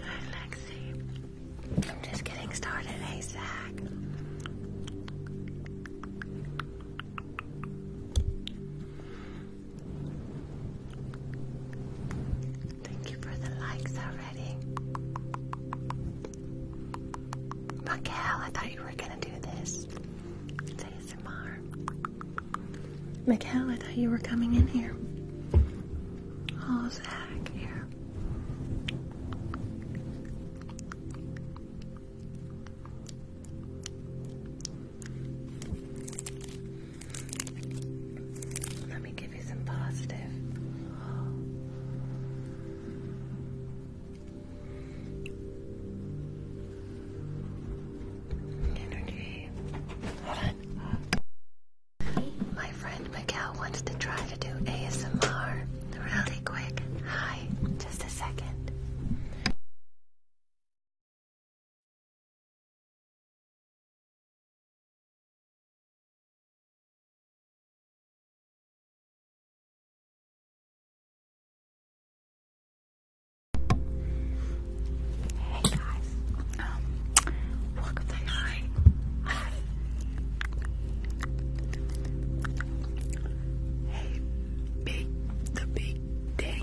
Hi, Lexi. I'm just getting started, hey, Zach. Thank you for the likes already. Raquel, I thought you were gonna do this. ASMR. I thought you were coming in here. Oh, Zach Let me give you some positive. Energy. Hold on. My friend Miguel wants to try to do ASMR really quick. Hi, just a second. Hey guys, um, welcome to my Hey, big, the big day.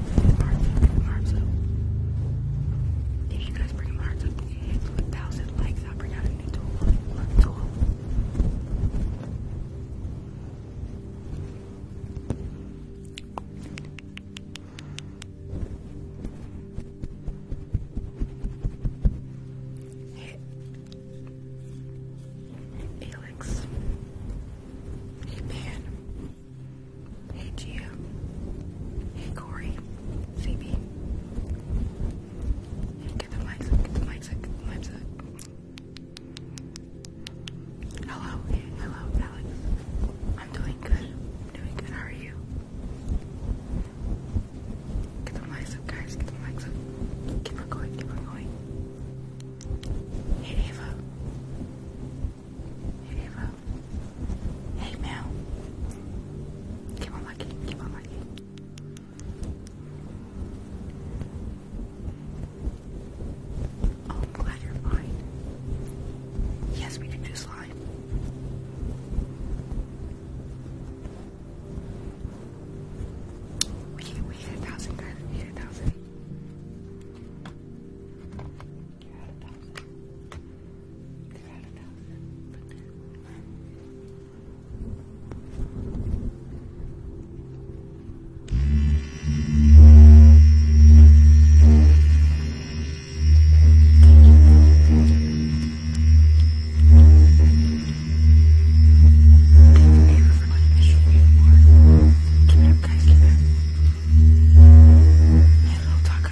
up. Arms up. If you guys bring them arms a thousand likes. I'll bring out a new tool. tool. Hey. Alex. Hey Hey Gia. Hey Corey. CB. Get the mics up, get the mics up, mics up. Hello, hello, Alex. I'm doing good. doing good. How are you? Get the mics up, guys. Get the mics up. Keep on going, keep on going. Hey Ava. Hey Ava. Hey Mel. Keep on liking, keep on liking. I'm glad you're fine. Yes, we can do slime. We, we hit a thousand guys, we hit a thousand. You're a thousand. You're a thousand. Thank you for my initial reward. Keep it up, guys. Keep it up. Hey, little talker.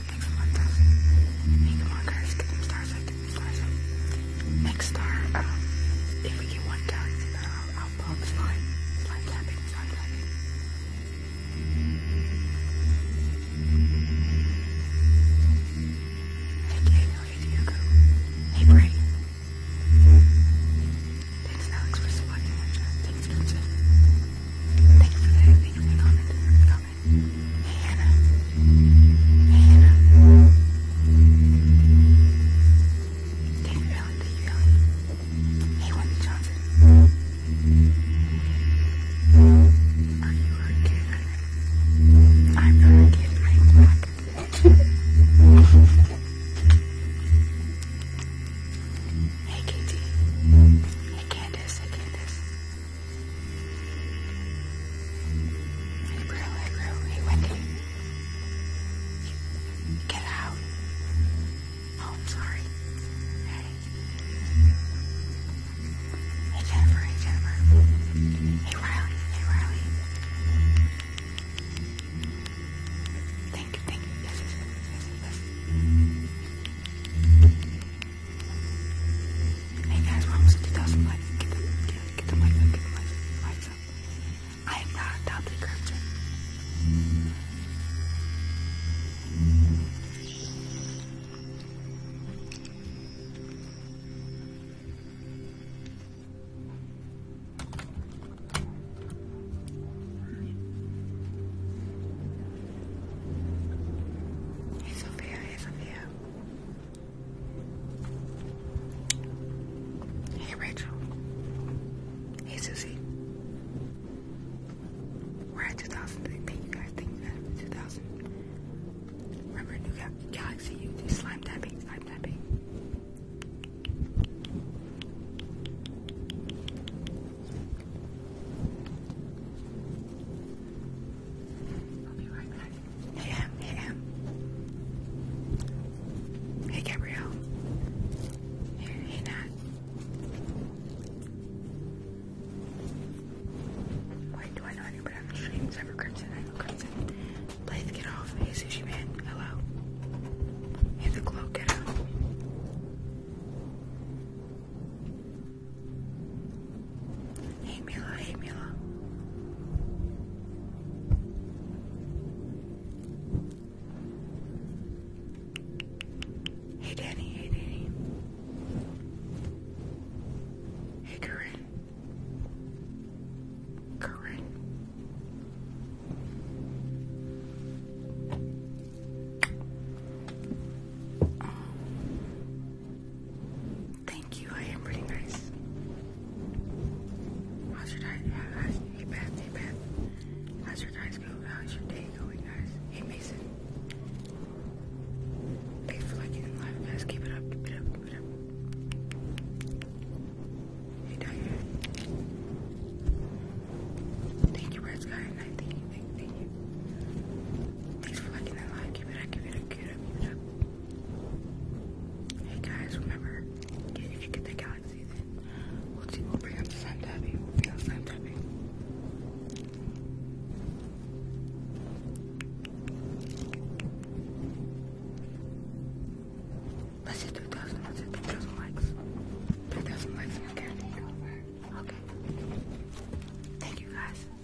Make some more stars. Make more cards. Get some stars up. Get some stars up. Next star, if we get one galaxy, I'll, I'll pop slime. Slime Hey Diego. Hey Bray. Thanks Alex for supporting. Thanks Princess. Thank for the, thank you for the David Allen, David Allen. Hey, Johnson. Are you a kid? I'm not a kid. I'm black. hey, Katie. Hey, Candace. Hey, Candace. It really, really wicked. Get out. Oh, I'm sorry. Hey. Hey, Jennifer. Hey, Jennifer. Hey, Riley. Hey, Riley. Thank you, thank you. Yes, yes, yes, yes, yes. Hey guys, we're almost at 2,000 likes. Get the, mic get the mic, mics up. I am not adopted, Crimson. Hey Sophia, hey Sophia. Hey, Rachel. Hey, Susie. We're at 2,000. Thank you guys. Thank you 2,000. Remember, New Galaxy U. Slime tapping. Slime tapping. Hey, Em. Hey, Em. Hey, Gabrielle. Hey, Nat. Wait, do I know anybody on the stream? Cyber Crimson, Crimson. Blythe, get off. Hey, Sushi Man. Hello. Hey, the glow, out. Hey Mila, hey Mila. Hey Danny, hey Danny. Hey Corinne. Corinne. Thank you. I am pretty nice. How's your guys. Hey, Beth. Hey, How's your guys go? How's your day going, guys? Hey, Mason. Thanks for liking and live, guys. Keep it up. Keep it up. Keep it up. Hey, Diane. Thank you, Red Sky. And thank you. Thank, thank you. Thanks for liking that live. Keep it up. Keep it up. Hey guys, remember, if you get the galaxy, then we'll, do, we'll bring up the slime tapping. We'll bring up slime tapping. Let's hit 3,000, let's hit 3,000 likes. 3,000 likes, Okay. Thank you guys.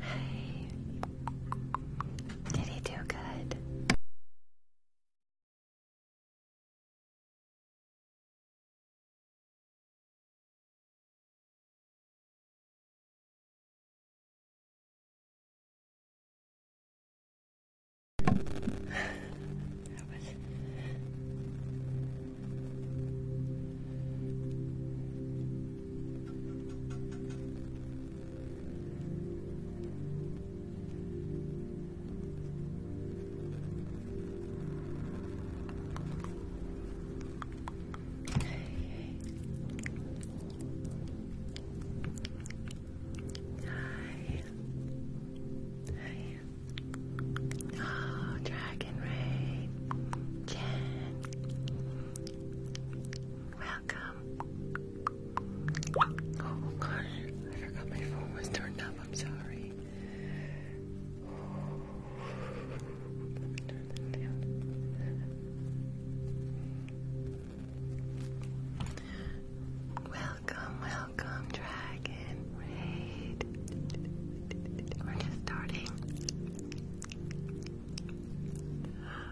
Hey. Did he do good? Hi. Hi. Oh, Dragon Ray. Jen. Welcome. Oh gosh, I forgot my phone was turned up. I'm sorry. Welcome, welcome, Dragon We're just starting.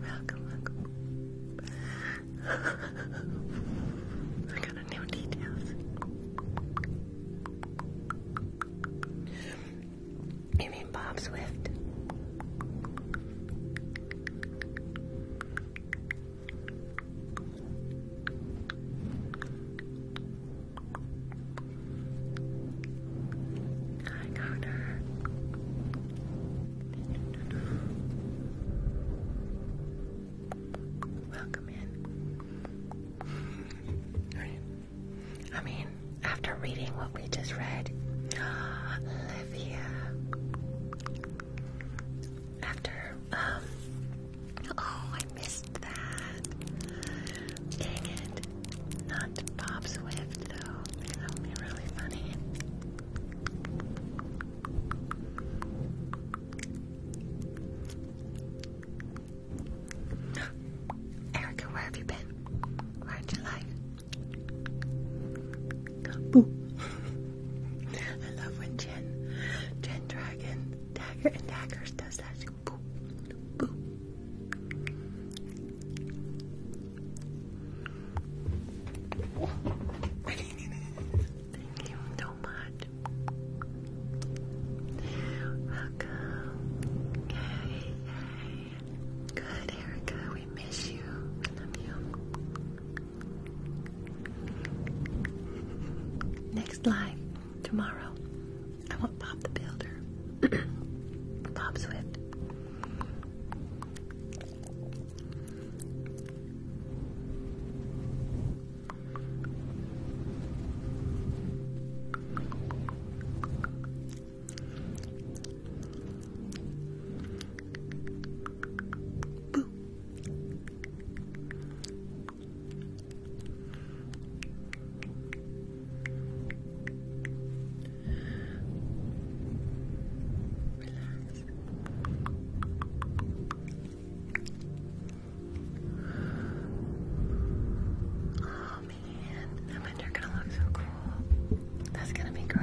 Welcome, welcome. I got a new details. You mean Bob Swift? Hi, Connor. Welcome in. I mean, after reading what we just read, Olivia. After um, Oh, I missed that. Dang it. Not Bob Swift, though. That would be really funny. Erica, where have you been? Where in your life? Boo. I love when Jen, Jen Dragon, Dagger and Daggers does that. Thank you so much. Welcome. Good, Erica. We miss you. love you. Next live tomorrow. I want Bob the Builder. Bob Swift. Oh man, the winter gonna look so cool. That's gonna be great.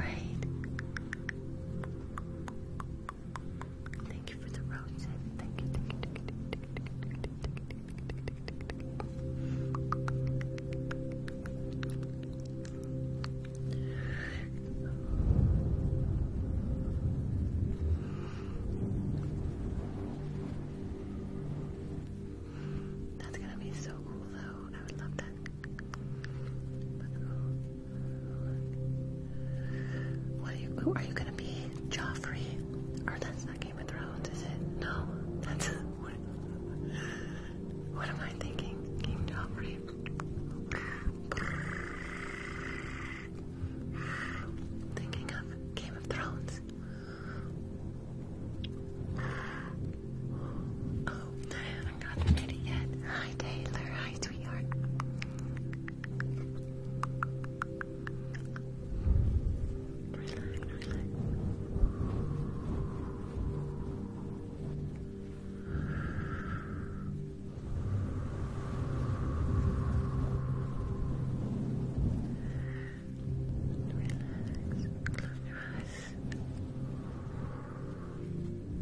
Thank you for the roses. That's gonna be so cool though. I would love that. Oh. Who are you? gonna be Joffrey? Or that's not Game of Thrones, is it? No, that's what. What am I thinking? King Joffrey. Thinking of Game of Thrones. Oh, I haven't gotten it yet. Hi, Taylor. Hi, sweetheart. Relax. Close your eyes.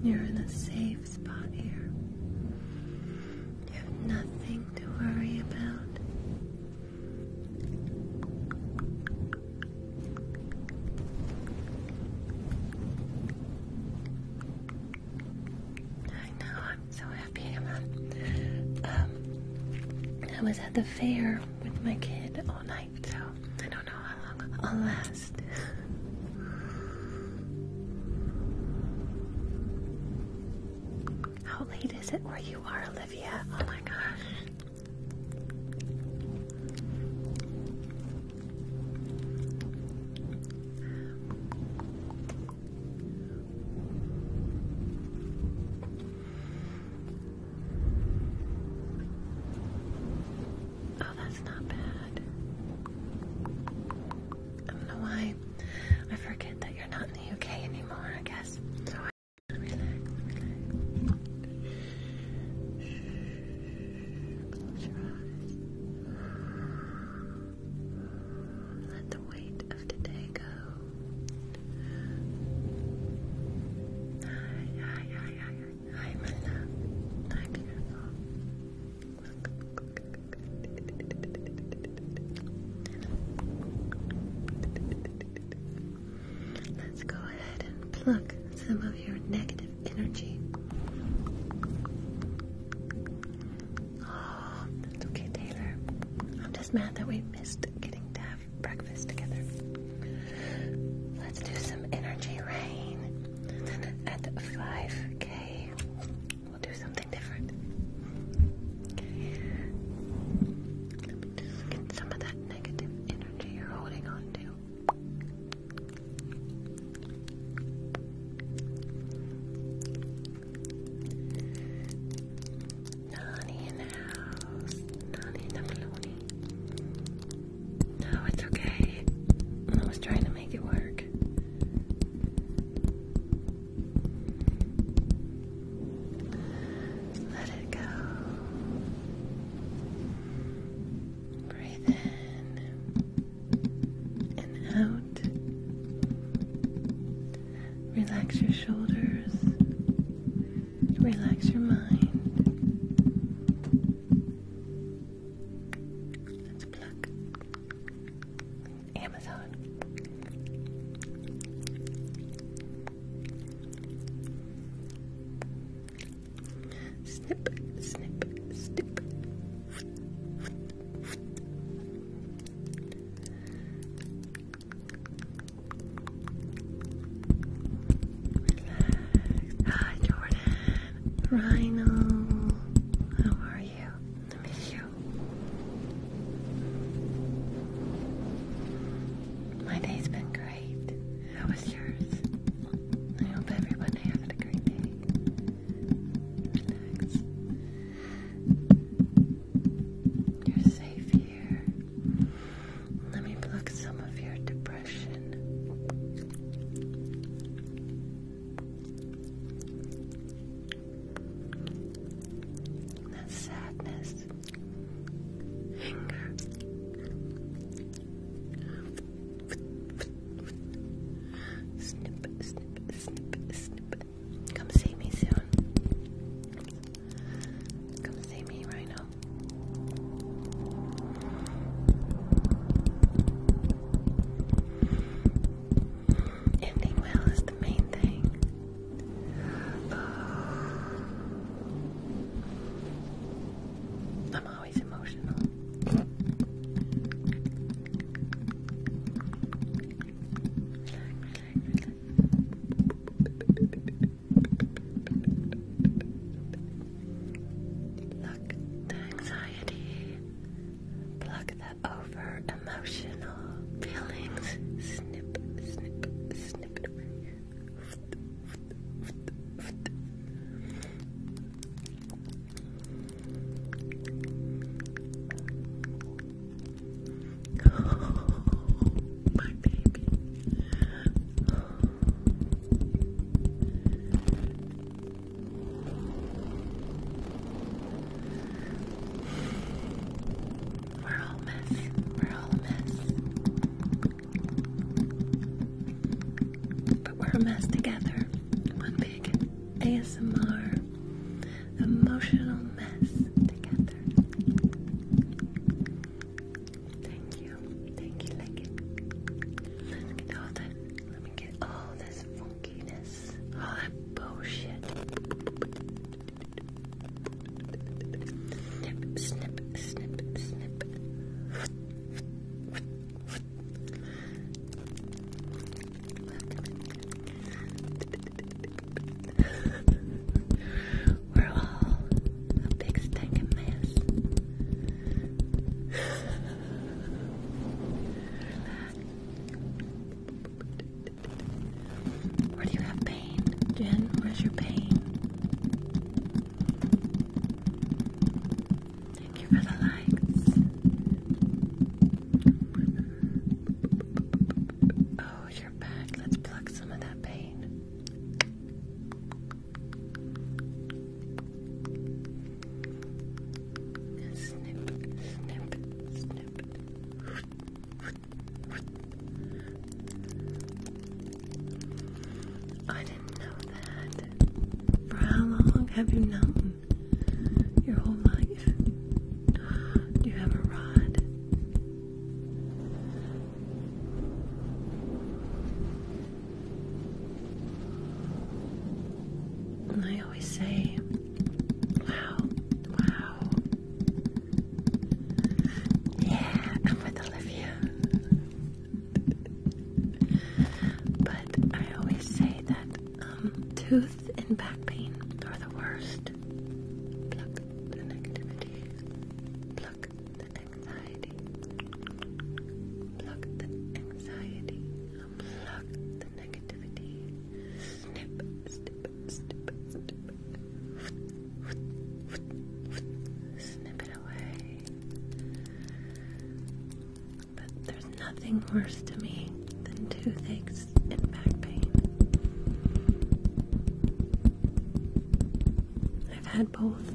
You're in a safe spot here. You have nothing to worry about. I know, I'm so happy about um, I was at the fair with my kid all night, so I don't know how long I'll last. How late is it where you are, Olivia? Oh my gosh. Oh, that's not bad. I don't know why I forget that you're not in the UK anymore, I guess. Let's go ahead and pluck some of your negative energy. Oh, that's okay, Taylor. I'm just mad that we missed getting to have breakfast together. Let's do some energy rain. at 5k, We'll do something different. Let me just get some of that negative energy you're holding on to. Nani in the house. Nani in the baloney. No, it's okay. I was trying to make it work. Let it go. Breathe in and out. Relax your shoulders. Relax your mind. Let's pluck, Amazon. Snip, snip, snip. Hi, Jordan. Rhino. How are you? miss you. My day's been great. How was yours? I hope everyone had a great day. Relax. You're safe here. Let me pluck some of your depression. That's sadness, anger, snip, snip, snip, snip. Come see me soon. Come see me, Rhino. Ending well is the main thing. Uh, I'm always emotional. Relax, the anxiety. Pluck the over emotional feelings. Snip, snip, snip my baby. We're all mess. We're all a mess. But we're a mess together. One big ASMR emotional mess together. Thank you. Thank you, like it. Let's get all this. Let me get all this funkiness. All that bullshit. Snip, snip, snip, snip. We're all a big stinking mess. Where do you have pain? Jen, where's your pain? Thank you for the likes. Oh, your back. Let's pluck some of that pain. Snip, snip, snip. I didn't know that. For how long have you known? Your whole life? Do you have a rod? I always say, wow, wow, yeah, I'm with Olivia. But I always say that um, tooth and back pain are the worst. Pluck the negativity, pluck the anxiety, pluck the anxiety, pluck the negativity, snip, it away. But there's nothing worse to me than toothaches and back pain. I've had both,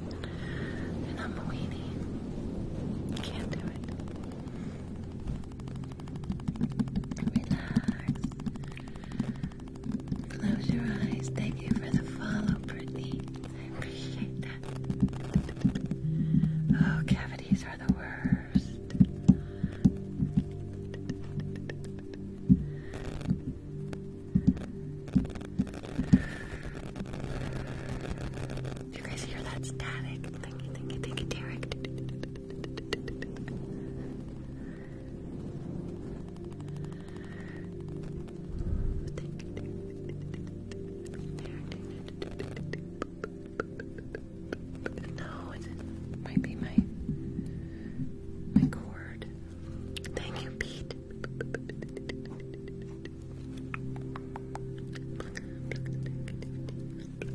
and I'm a weenie. Can't do it. Relax. Close your eyes. Thank you for the follow, Britney. I appreciate that. Oh, cavities are the worst. you guys hear that static? Thank you, thank you, thank you, Derek. No, it might be my my cord. Thank you, Pete. Derek,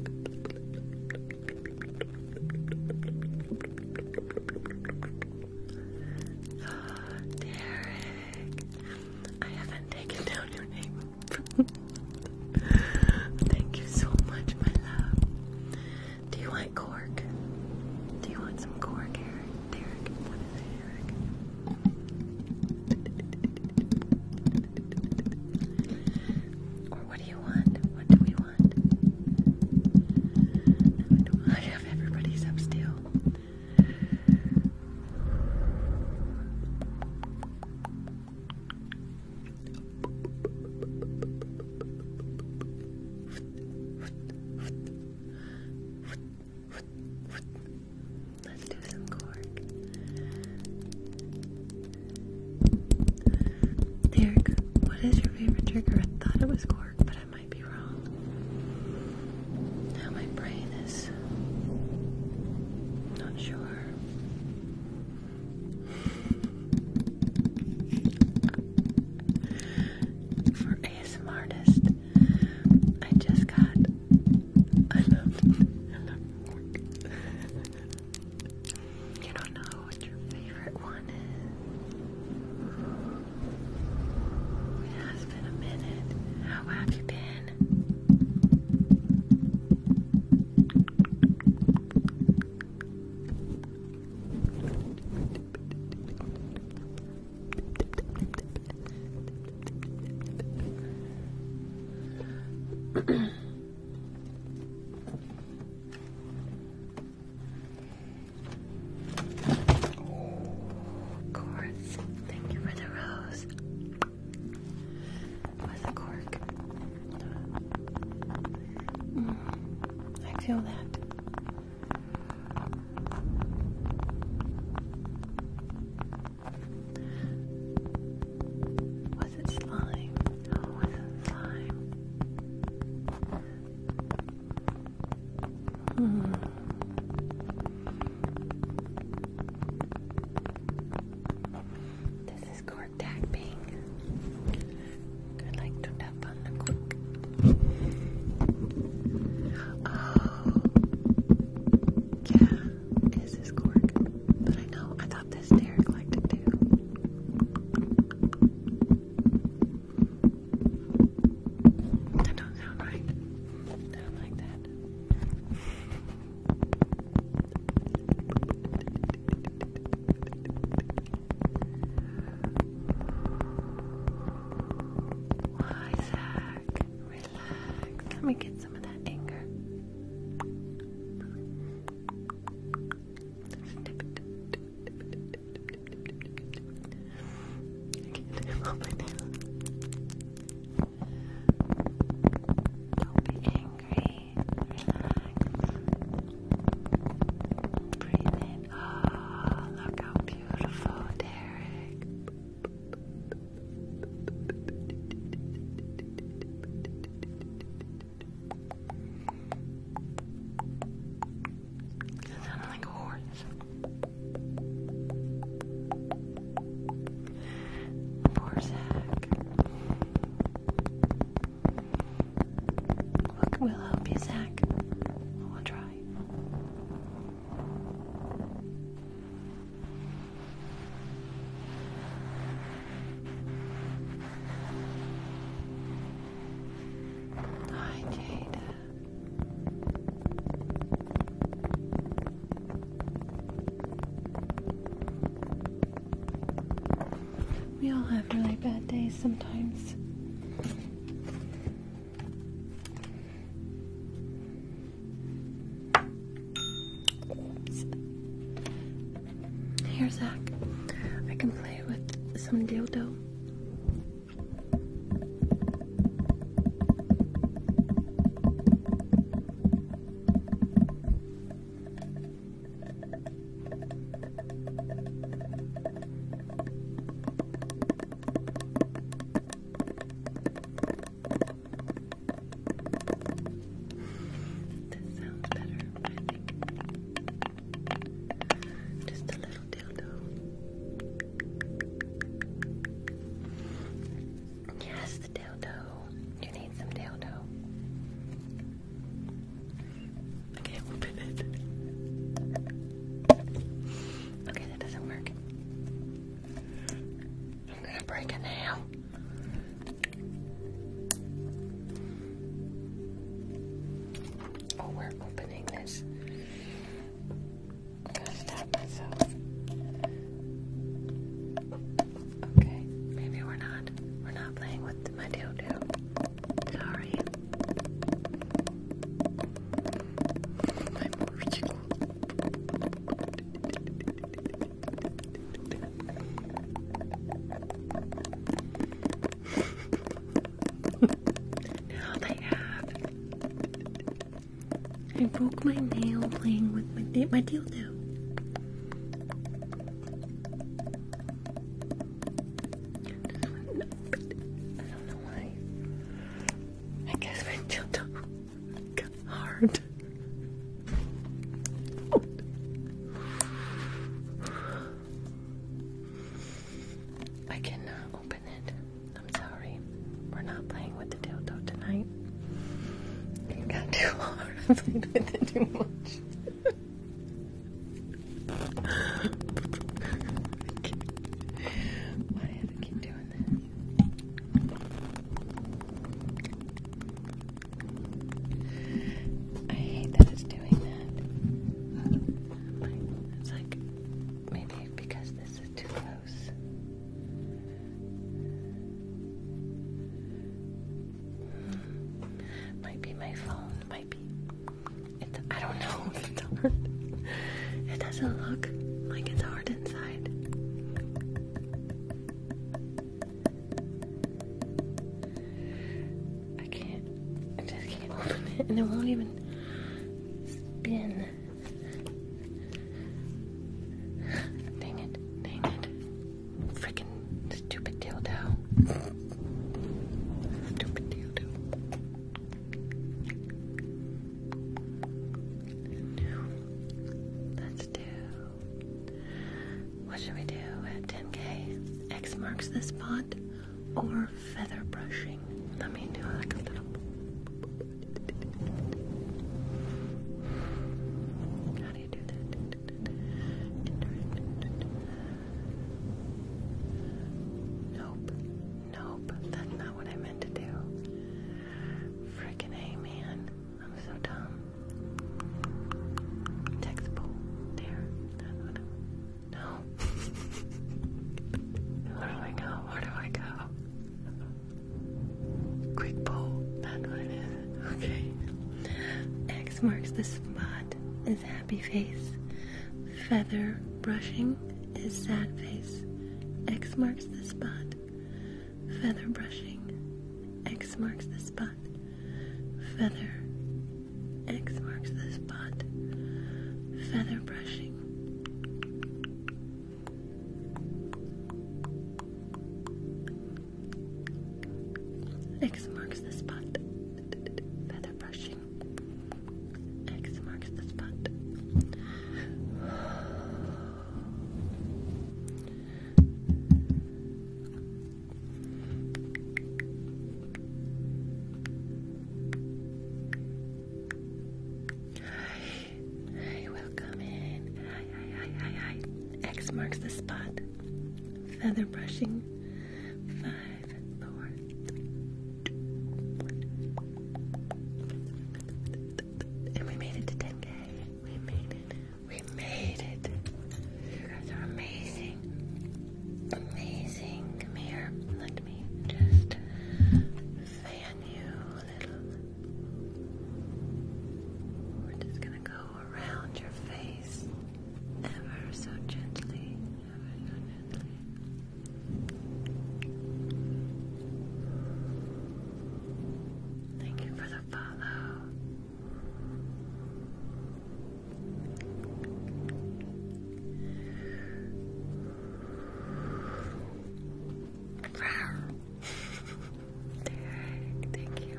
I haven't taken down your name. Thank you so much, my love. Do you want cork? Do you want some cork, Derek? Derek, what is it, Derek? or what do you want? What do we want? want. No, I don't want to have everybody's up still. Let's do some cork. Derek, what is your favorite trigger? I thought it was cork, but I might be wrong. Now my brain is not sure. For ASM artist, I just got. I love. I love cork. You don't know what your favorite one is. It has been a minute. How have been? of course. Thank you for the rose. With a cork. Mm, I feel that. It's it it wasn't slime. Hmm. This is cork tapping. I like to tap on Oh, yeah, this is cork. But I know, I thought this Derek liked it too. That don't sound right. I don't like that. Why, Zach? Relax. Let me get some of that anger. Snip it can't help it now. Don't be angry. Relax. Breathe in. Oh, look how beautiful, Derek. It sounded like a horse. Poor Zach. Look, will help Zach. We'll try. Hi, Jada. We all have really bad days sometimes. Here, Zach. I can play with some dodo. this sounds better, just a little dildo. Yes, the dildo. You need some dildo. I can't open it. Okay, that doesn't work. I'm gonna break it now. Oh, we're opening this. Okay, maybe we're not. We're not playing with my dildo. Sorry. My mortual now they have. I broke my nail playing with my, di my dildo. I don't know why. I guess my dildo got hard. I cannot open it. I'm sorry. We're not playing with the dildo tonight. It got too hard. I played with it too much. Why do I keep doing this? I hate that it's doing that. It's like maybe because this is too close. Might be my phone. Might be. I don't know. It doesn't look like it's hard inside. I can't, I just can't open it and it won't even spin. Dang it, dang it. Freaking stupid dildo. Stupid dildo. Let's do. What should we do at 10k? X marks the spot or feather brushing. Let me do like a little. How do you do that? Nope. Nope. That's not what I meant to do. Freaking A, man. I'm so dumb. Text pool. There. No. Where do I go? Where do I go? Quick poll. That's what it is. Okay. X marks the spot is happy face. Feather brushing is sad face. X marks the spot. Feather brushing. X marks the spot. Feather X marks the spot. Feather brushing. X marks the spot. Feather brushing. X marks the spot. Hi, welcome in. Hi, hi, hi, hi, hi. X marks the spot. Feather brushing. Five, four, three, two, one. And we made it to 10K. We made it. We made it. You guys are amazing. Amazing. Come Let me just fan you a little. We're just gonna go around your face Ever so gently. Thank you for the follow. Thank you.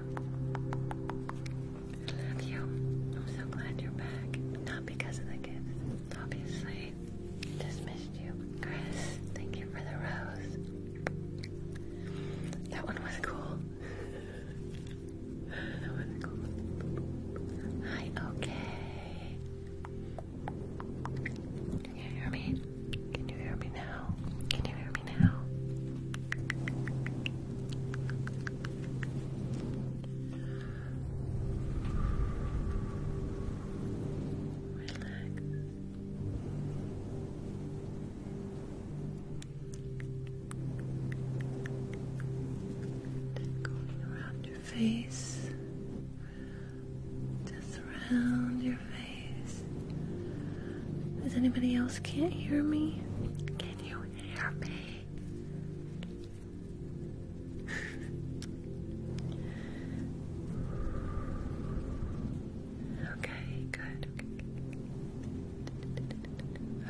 I love you. I'm so glad you're back. Not because of the gifts, obviously. Just missed you. Chris, thank you for the rose. That one was cool. that was Hi, okay. Can you hear me? Can you hear me now? Can you hear me now? Relax. Going around your face, just around your face. Does anybody else can't hear me? Can you hear me? okay, good.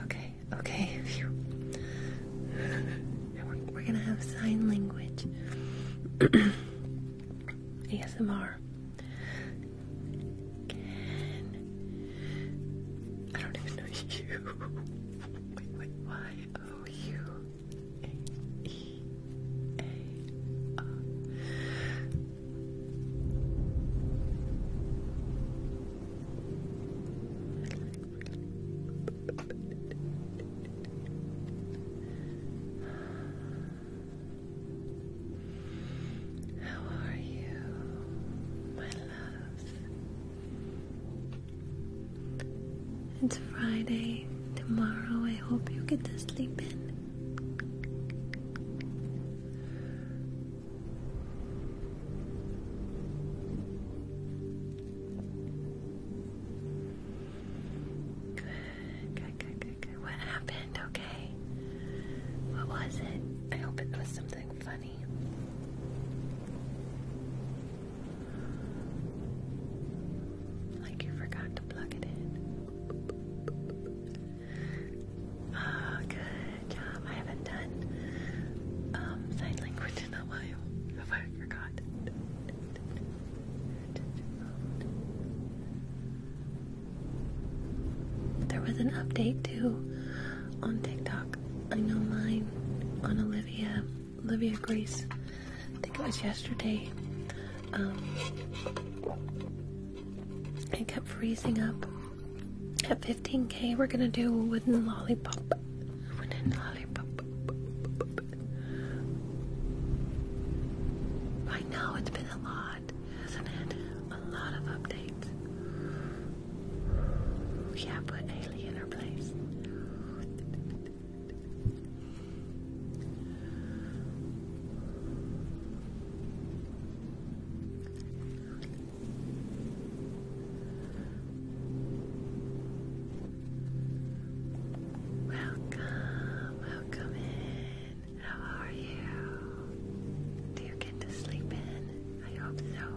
Okay, Okay, we're, gonna have sign language. ASMR. don't even know you. Wait, how are you, my loves? It's Friday tomorrow. I hope you get to sleep in. Good, good, good, good. What happened? Okay. What was it? I hope it was something funny. Like you forgot to plug it in. Oh, good job. I haven't done um, sign language in a while. There was an update too on TikTok. I know mine on Olivia, Olivia Grace. I think it was yesterday. Um, kept freezing up. At 15k, we're gonna do wooden lollipop Vanilla lollipop. I know it's been a lot, hasn't it? A lot of updates. Yeah, put Haley in her place. Welcome, welcome in. How are you? Do you get to sleep in? I hope so.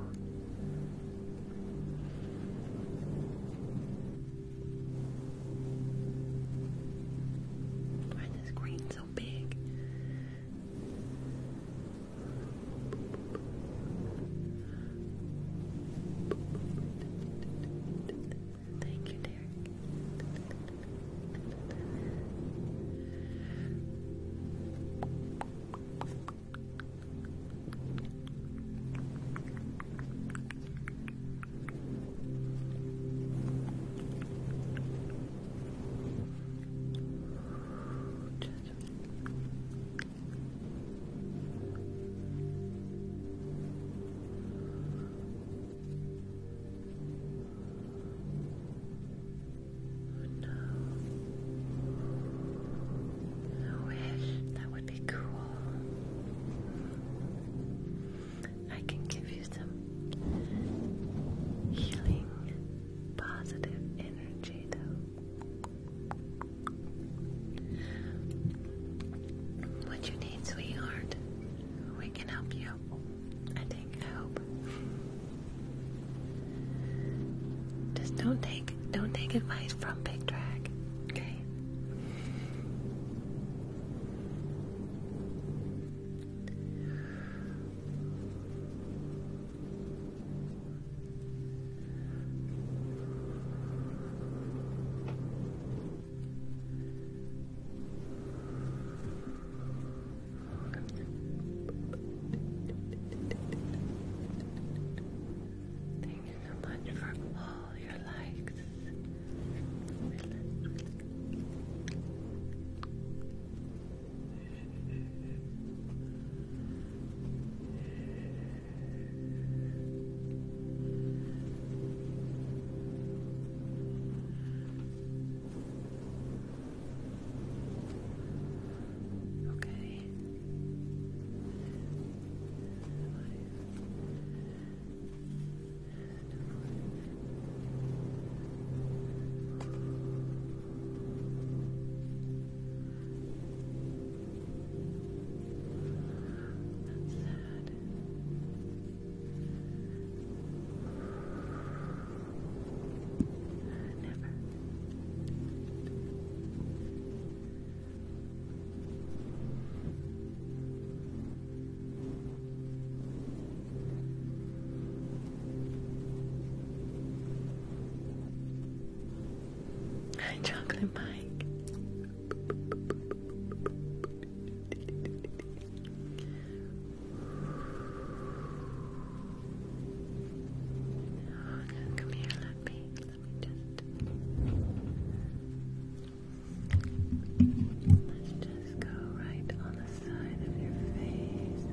Why is this green so big? Thank you, Derek. Just no. I wish that would be cool. I can give you some healing, positive energy, though. What you need, sweetheart. We can help you. I think, I hope. Just don't take don't take advice from Big Drag, okay? Thank you so much for all your likes. Okay. Five. That's sad. Hi, chocolate Mike. Come here, let me, let me just. Let's just go right on the side of your face.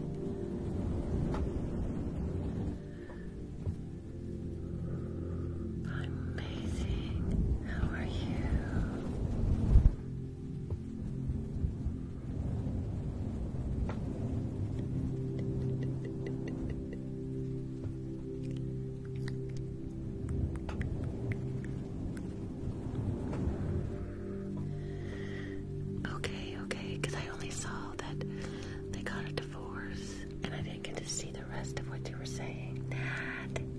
I'm amazing. How are you? Okay, okay, because I only saw that they got a divorce and I didn't get to see them the rest of what you were saying.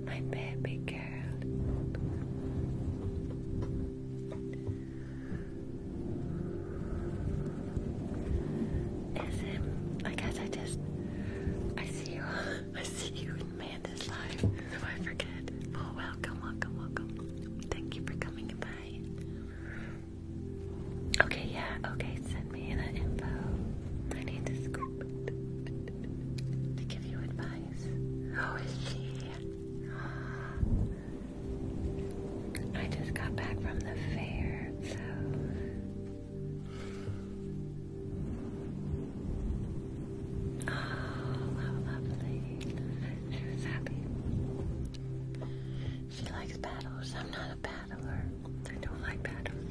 my baby girl. Is it? I guess I just. I see you. I see you, man. This life. So I forget. Oh, welcome, welcome, welcome. Thank you for coming by. Okay, yeah, okay, send me the info. I need to scoop to give you advice. How is she? I just got back from the fair, Oh, how lovely. She was happy. She likes battles a paddler. I don't like paddles.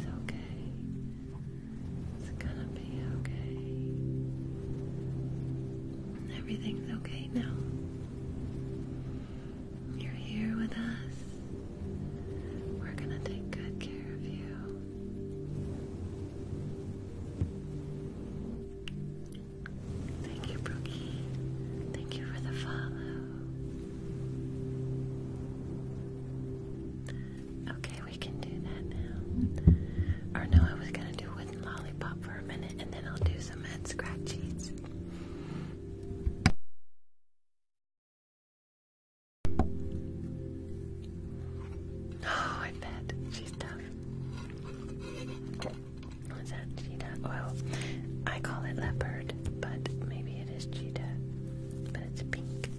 It's okay. It's gonna be okay. Everything's okay now. You're here with us. We're gonna take good care of you. Thank you, Brookie. Thank you for the follow. Okay, we can do that now. Or no, I was gonna do wooden lollipop for a minute and then I'll do some head scratchies. Oh, I bet. She's tough. What's that? Cheetah? Well, I call it leopard, but maybe it is cheetah. But it's pink.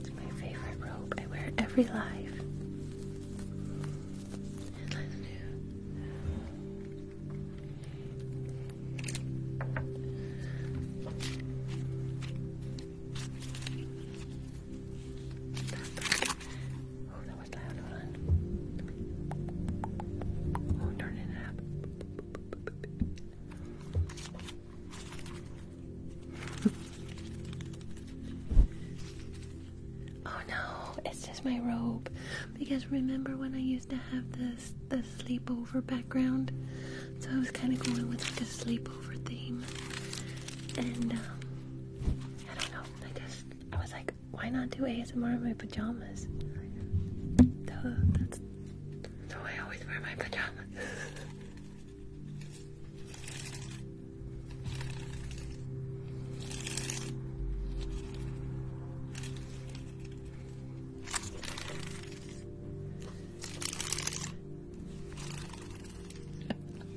It's my favorite robe. I wear it every live. Oh, that was loud. Hold on. Oh, turn it up. oh no, it's just my robe. Because remember when I used to have this the sleepover background, so I was kind of going with like a sleepover theme. And um, I don't know, I just I was like, why not do ASMR in my pajamas? Duh, that's so I always wear my pajamas.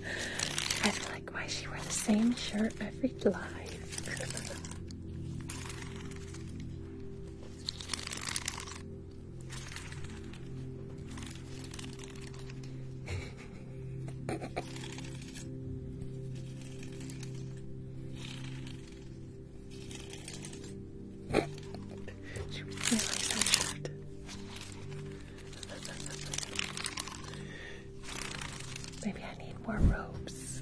I feel like why she wear the same shirt every live. Maybe I need more ropes.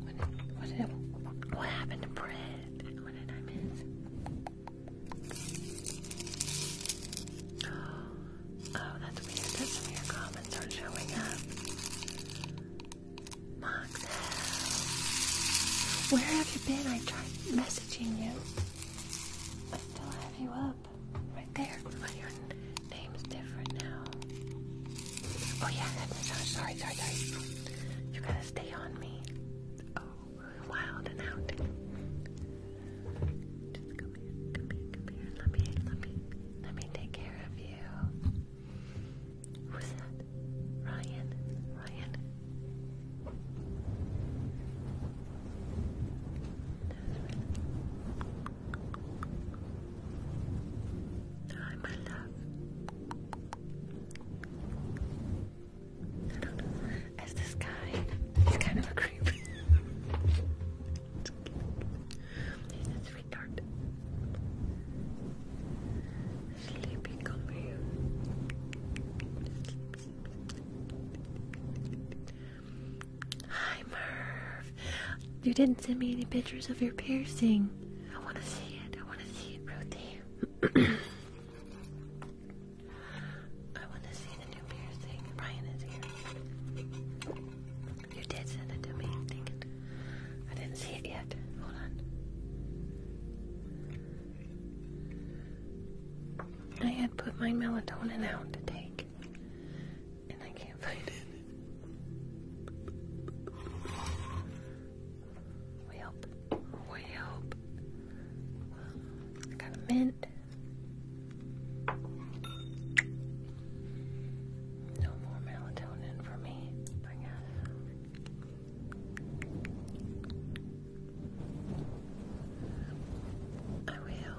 What, did, what, happened to bread? Oh, that's weird. some of your comments are showing up. Moxel, where have you been? I tried messaging you. I still have you up right there. Oh, name's different now. Oh yeah, head massage. Sorry, sorry, sorry. You gotta stay on me. Oh, wild and out. Just come here, come here, come here. Let me, let me, let me take care of you. Who's that? Ryan, Ryan. Hi, my I don't know. As this guy, he's kind of a creep. he's a Sleepy, come Hi, Merv. You didn't send me any pictures of your piercing. I want to see it. I want to see it, Ruthie. I want to see the new piercing. Ryan is here. You did send it to me. Dang it. I didn't see it yet. Hold on. I had put my melatonin out to take and I can't find it. We help. We help. got a mint. No more melatonin for me, I will.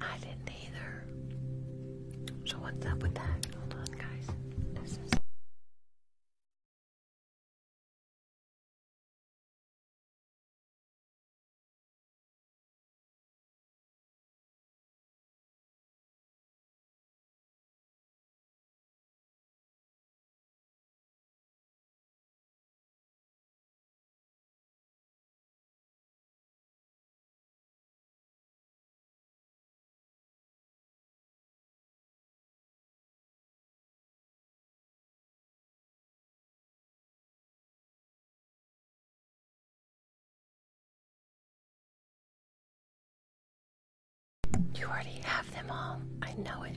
I didn't either. So what's up with that? Hold on, guys. This is. You already have them all. I know it.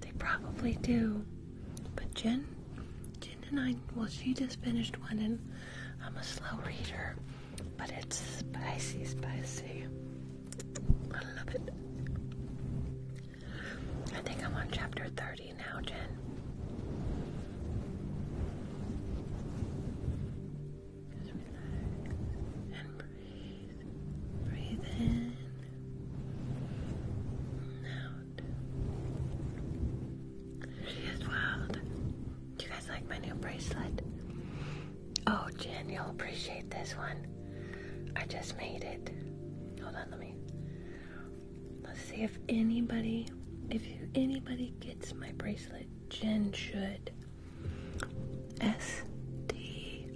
they probably do. But Jen, Jen and I, well, she just finished one, and I'm a slow reader, but it's spicy, spicy. I love it. I think I'm on chapter 30 now, Jen. Just relax and breathe. Breathe in out. She is wild. Do you guys like my new bracelet? Oh, Jen, you'll appreciate this one. I just made it. Hold on, let me. Let's see if anybody, if anybody gets my bracelet. Jen should. S T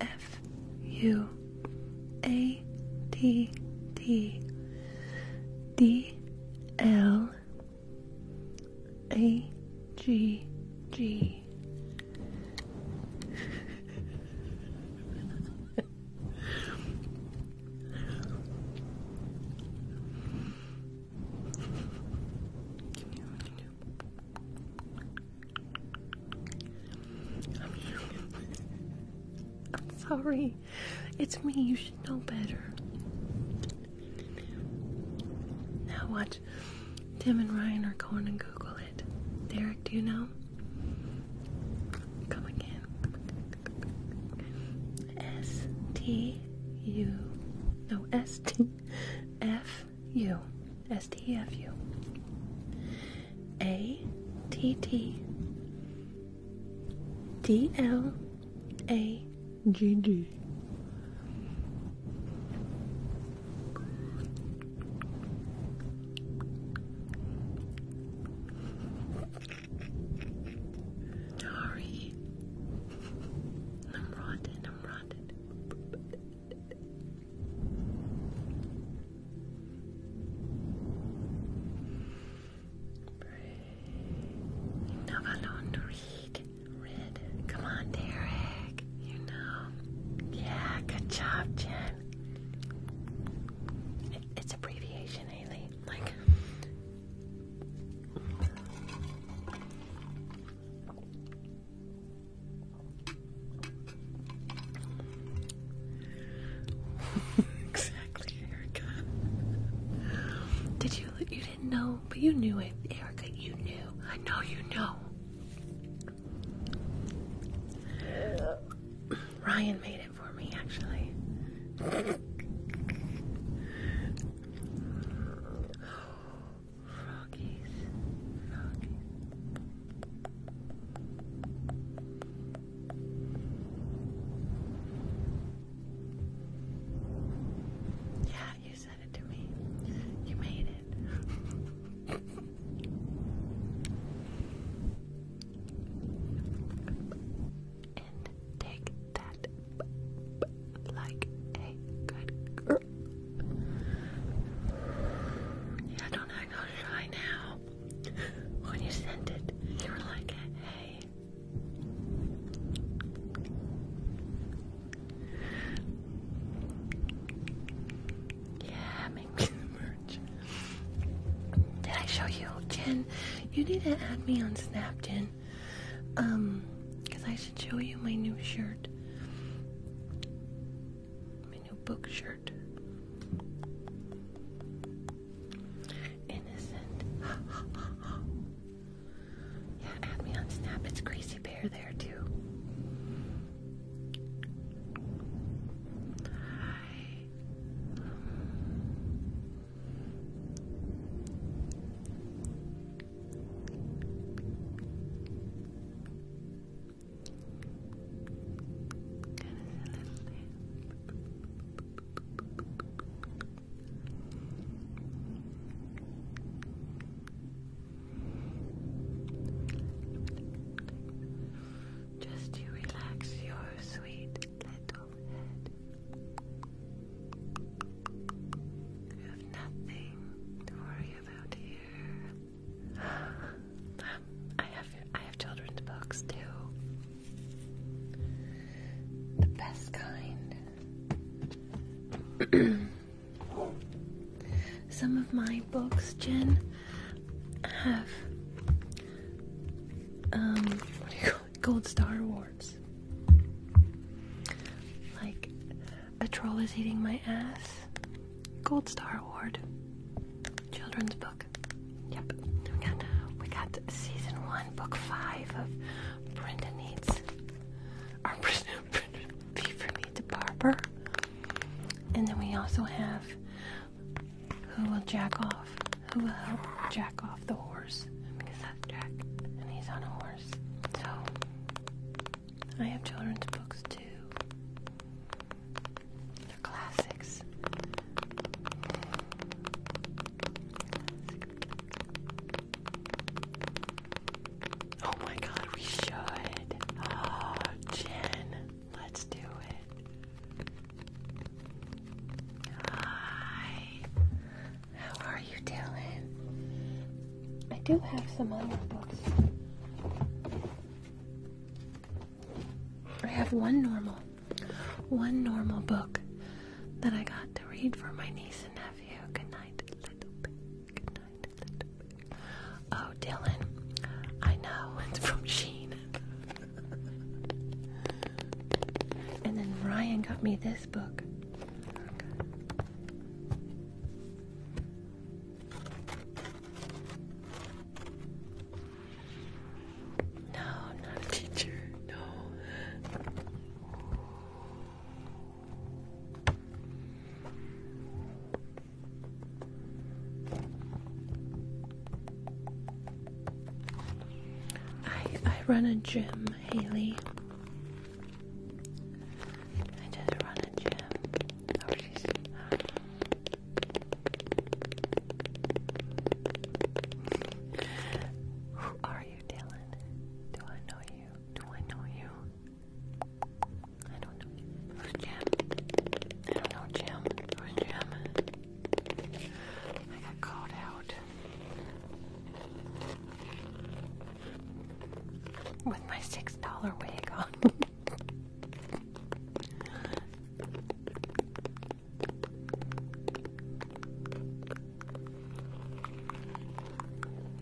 F U A T T D L A G G I'm sorry. It's me. You should know better. Now watch. Tim and Ryan are going to Google it. Derek, do you know? Come again. S T U. No, S T F U S T F U A T T D L A G G Sorry. I'm rotten rotten. Novalon Reed. Red. Come on, Derek. You know. Yeah, good job, Jen. It, it's abbreviation, Haley. Like exactly, Erica. Did you? You didn't know, but you knew it, Erica. You knew. I know you know. Ryan made it for me, actually. Froggies, Yeah, you said it to me. You made it. take that yeah, don't act all shy now. When you sent it, you were like, hey. Yeah, make me the merch. Did I show you, Jen? You need to add me on Snap, um, because I should show you my new shirt. My new book shirt. Innocent. yeah, add me on Snap. It's Crazy Bear there too. Hi. Just to relax your sweet little head. You have nothing to worry I have I have children's books too. The best kind. Some of my books, Jen, have um Gold Star Awards. Like a Troll is Eating My Ass. Gold Star Award. Children's book. Yep. We got, we got season one, book five of Brenda Needs. Our Beaver Needs a Barber. And then we also have Who Will Jack Off? Who Will Help Jack Off the Horse? Because that's Jack, and he's on a horse. So, I have children's books too. They're classics. Oh my god, we should. Oh, Jen, let's do it. Hi. How are you doing? I do have some other books. I have one normal, one normal book that I got to read for my niece and nephew. Good night, little Good night, Oh, Dylan, I know it's from Sheen. and then Ryan got me this book. No, not a teacher. No. I I run a gym, Haley. I just run a gym. Oh, uh, Who are you, Dylan? Do I know you? Do I know you? I don't know. Jim? I don't know Jim. Jim? I got called out with my six dollar wig on.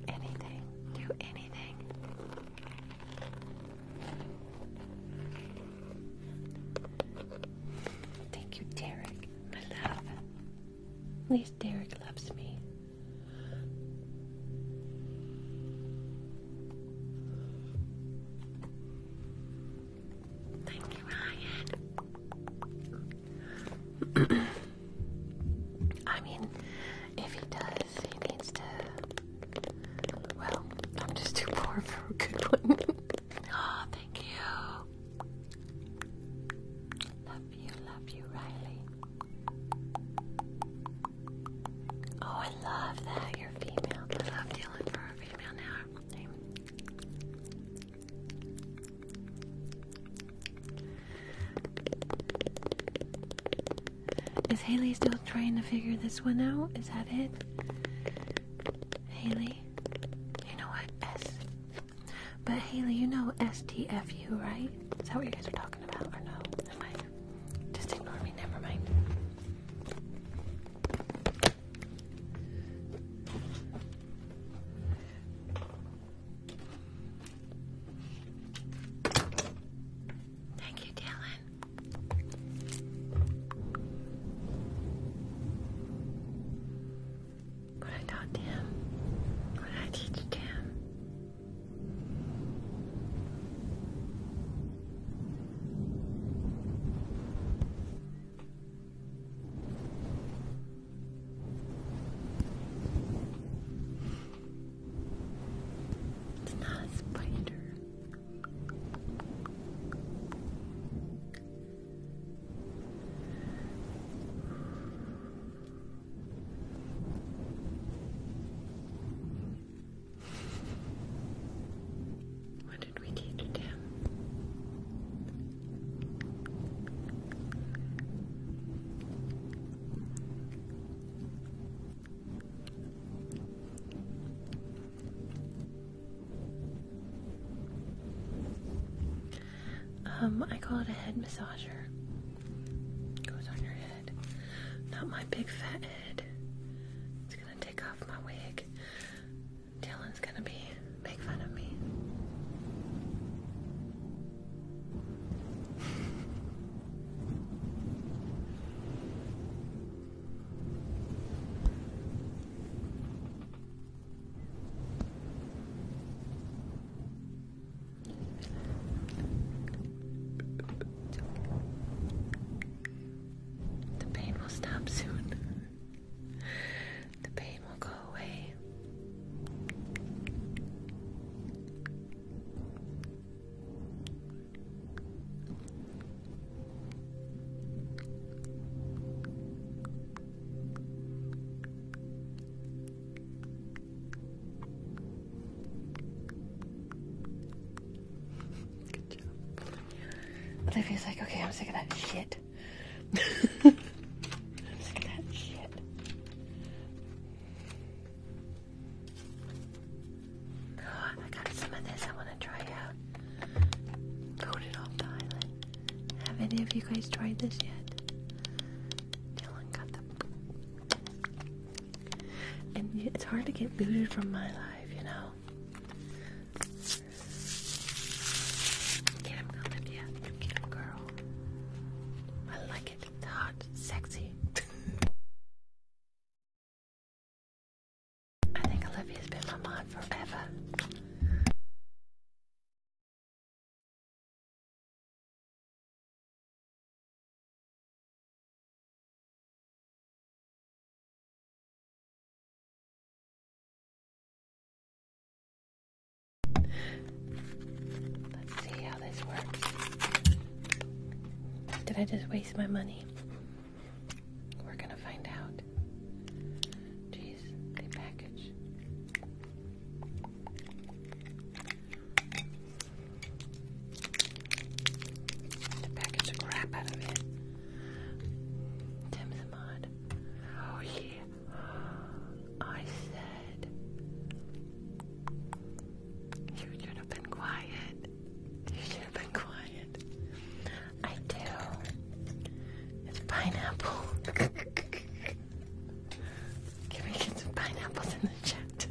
anything, do anything. Thank you, Derek. I love. At least Derek loves me. Thank you, Ryan. I mean, if he does, he needs to. Well, I'm just too poor for a good one. oh, ah, thank you love love you, Riley. Oh, I love that you're female. I love dealing for a female now. Is Haley still trying to figure this one out? Is that it? Haley? You know what? S. But Haley, you know STFU, right? Is that what you guys are talking about or no? Am I just ignore me, never mind. Thank you, Dylan. What I taught Tim, what I teach Tim. It's not a spider. What did we teach him? Um, I call it a head massager. Goes on your head. Not my big fat head. It's gonna take off my wig. Dylan's gonna be make fun of me. The pain will stop soon. The pain will go away. Good like, okay, I'm sick of that shit. sick of that shit. I got some of this I want to try out. Voted off the island. Have any of you guys tried this yet? Dylan got the and it's hard to get booted from my life, you know. Get him, Olivia. Get him, girl. I like it. hot, sexy. I think Olivia's been my mod forever. Let's see how this works. Did I just waste my money? We're gonna find out. Jeez, they package. The package crap out of it. Tim the Mod. Oh yeah. I said you should have been quiet. You should have been quiet. I do. It's pineapple. Can we get some pineapples in the chat?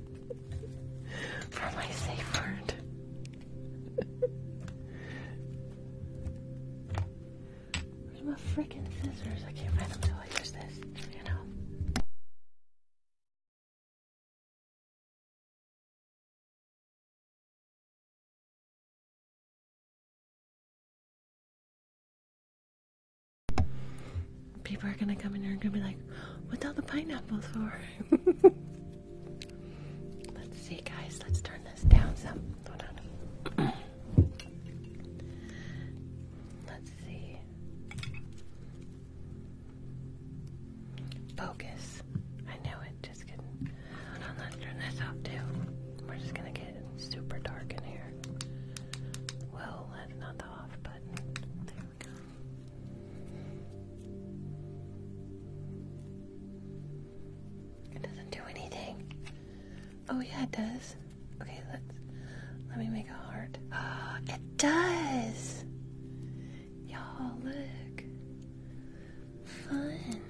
for my safe word. my freaking scissors? I can't find them till I use this, you know people are gonna come in here and gonna be like, "What's all the pineapples for?" let's see, guys. Let's turn this down some. let's see. Focus. I know it. Just kidding. Hold on. Let's turn this off too. We're just gonna get super dark in here. Well, that's not the off button. It doesn't do anything. Oh yeah, it does. Okay, let's let me make a heart. Oh, it does. Y'all look. Fun.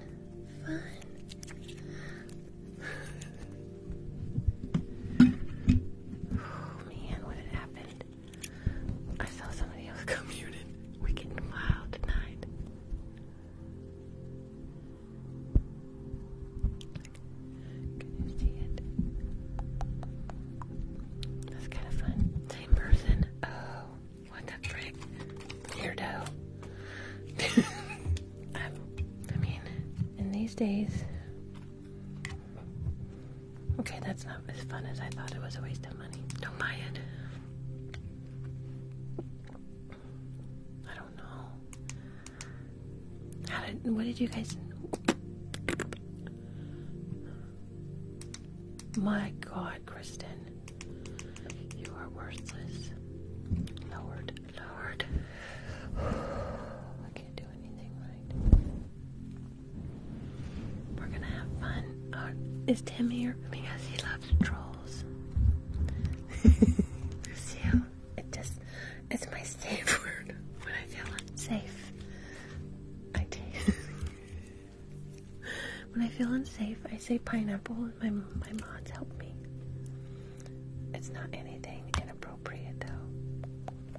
Fun. Oh, man, what had happened? I saw somebody else come muted. We're getting wild tonight. Can you see it? That's kind of fun. Same person. Oh, what the frick? Weirdo. I mean, in these days, Okay, that's not as fun as I thought. It was a waste of money. Don't buy it. I don't know. How did? What did you guys? My God, Kristen, you are worthless. Lord, Lord, I can't do anything right. We're gonna have fun. Uh, is Tim here? Because he loves trolls. Lucille, it just, it's my safe word when I feel unsafe. I when I feel unsafe, I say pineapple and my, my mods help me. It's not anything inappropriate though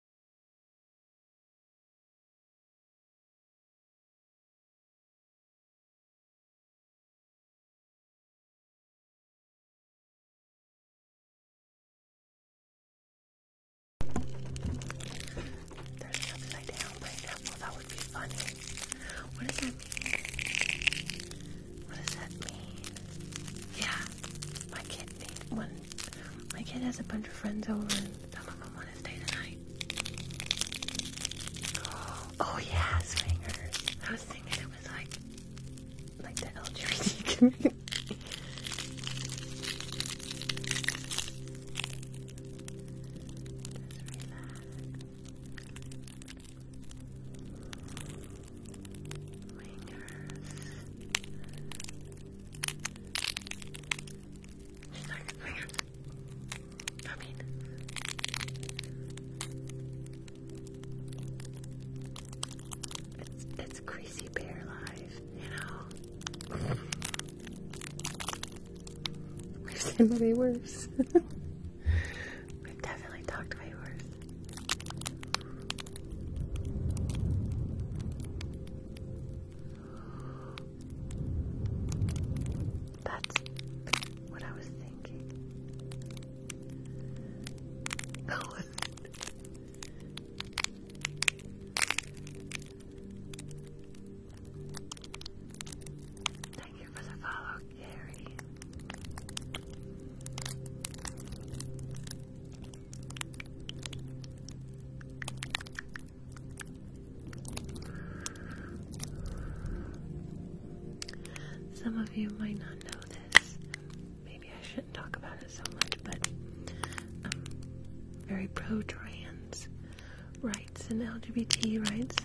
there's an upside down pineapple. That would be funny. What does that mean? What does that mean? Yeah, my kid made one. My kid has a bunch of friends over, and some of them Oh yeah, swingers. I was thinking it was like like the LGBT community. I mean, it's, it's crazy bear life, you know. We've seen way worse. We've definitely talked way worse. That's what I was thinking. No, Thank you for the follow, Gary. Some of you might not know this. Maybe I shouldn't talk about it so much, but I'm um, very pro trans rights and LGBT rights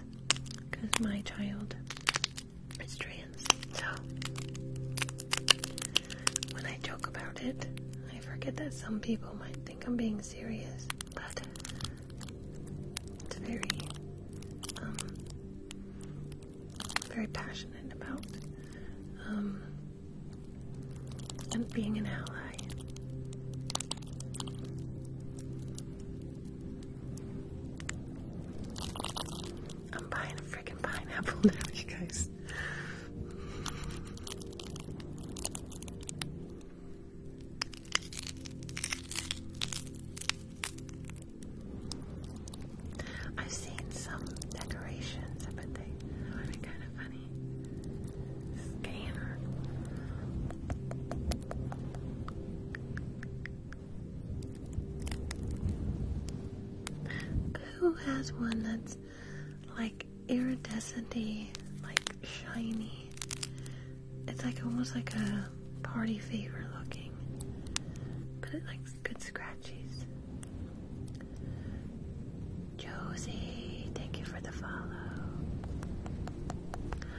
because my child is trans. So when I joke about it, I forget that some people might think I'm being serious. But it's very, um, very passionate about um, and being an ally. I'm buying a freaking pineapple now, you guys. I've seen some decorations, but they are kind of funny. Scanner. Who has one that's like iridescenty, like shiny. It's like almost like a party favor looking, but it likes good scratchies. Josie, thank you for the follow.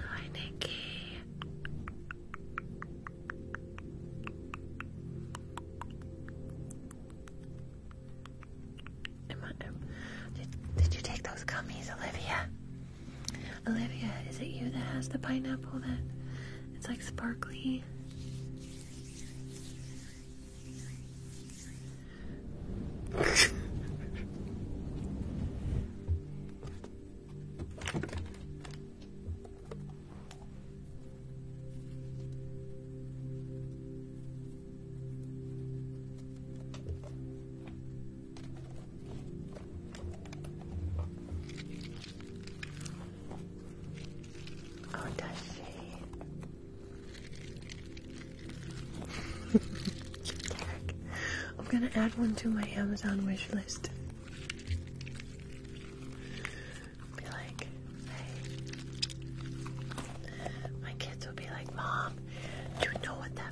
Hi, Nikki did you take those gummies, Olivia? Olivia, is it you that has the pineapple that it's like sparkly? Oh, does she? I'm gonna add one to my Amazon wishlist. be like, hey, my kids will be like, Mom, do you know what that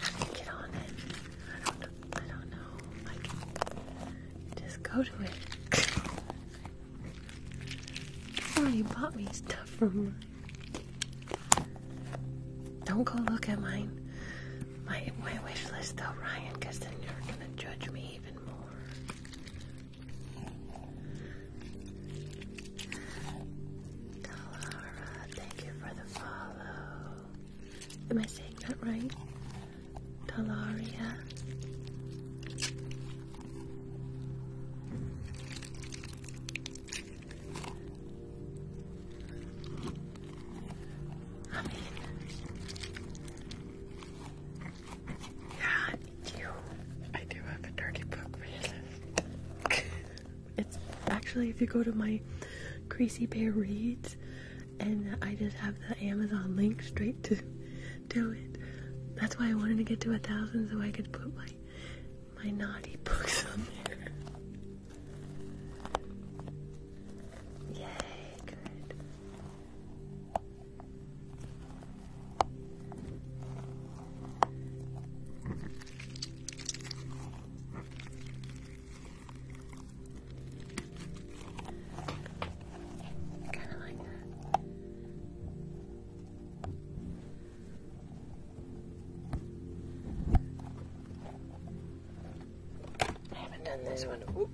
How do you get on it? I don't know. I don't know. Like, just go to it. Before you bought me stuff from Don't go look at mine. My, wish list though, Ryan, because then you're gonna judge me even more. thank you for the follow. Am I saying that right? Talaria. I yeah, I do. I do have a dirty book for It's actually if you go to my Crazy Bear Reads, and I just have the Amazon link straight to do it. That's why I wanted to get to a thousand so I could put my my naughty books on there. Yay, good. Kind of like that. I haven't done this one. Ooh.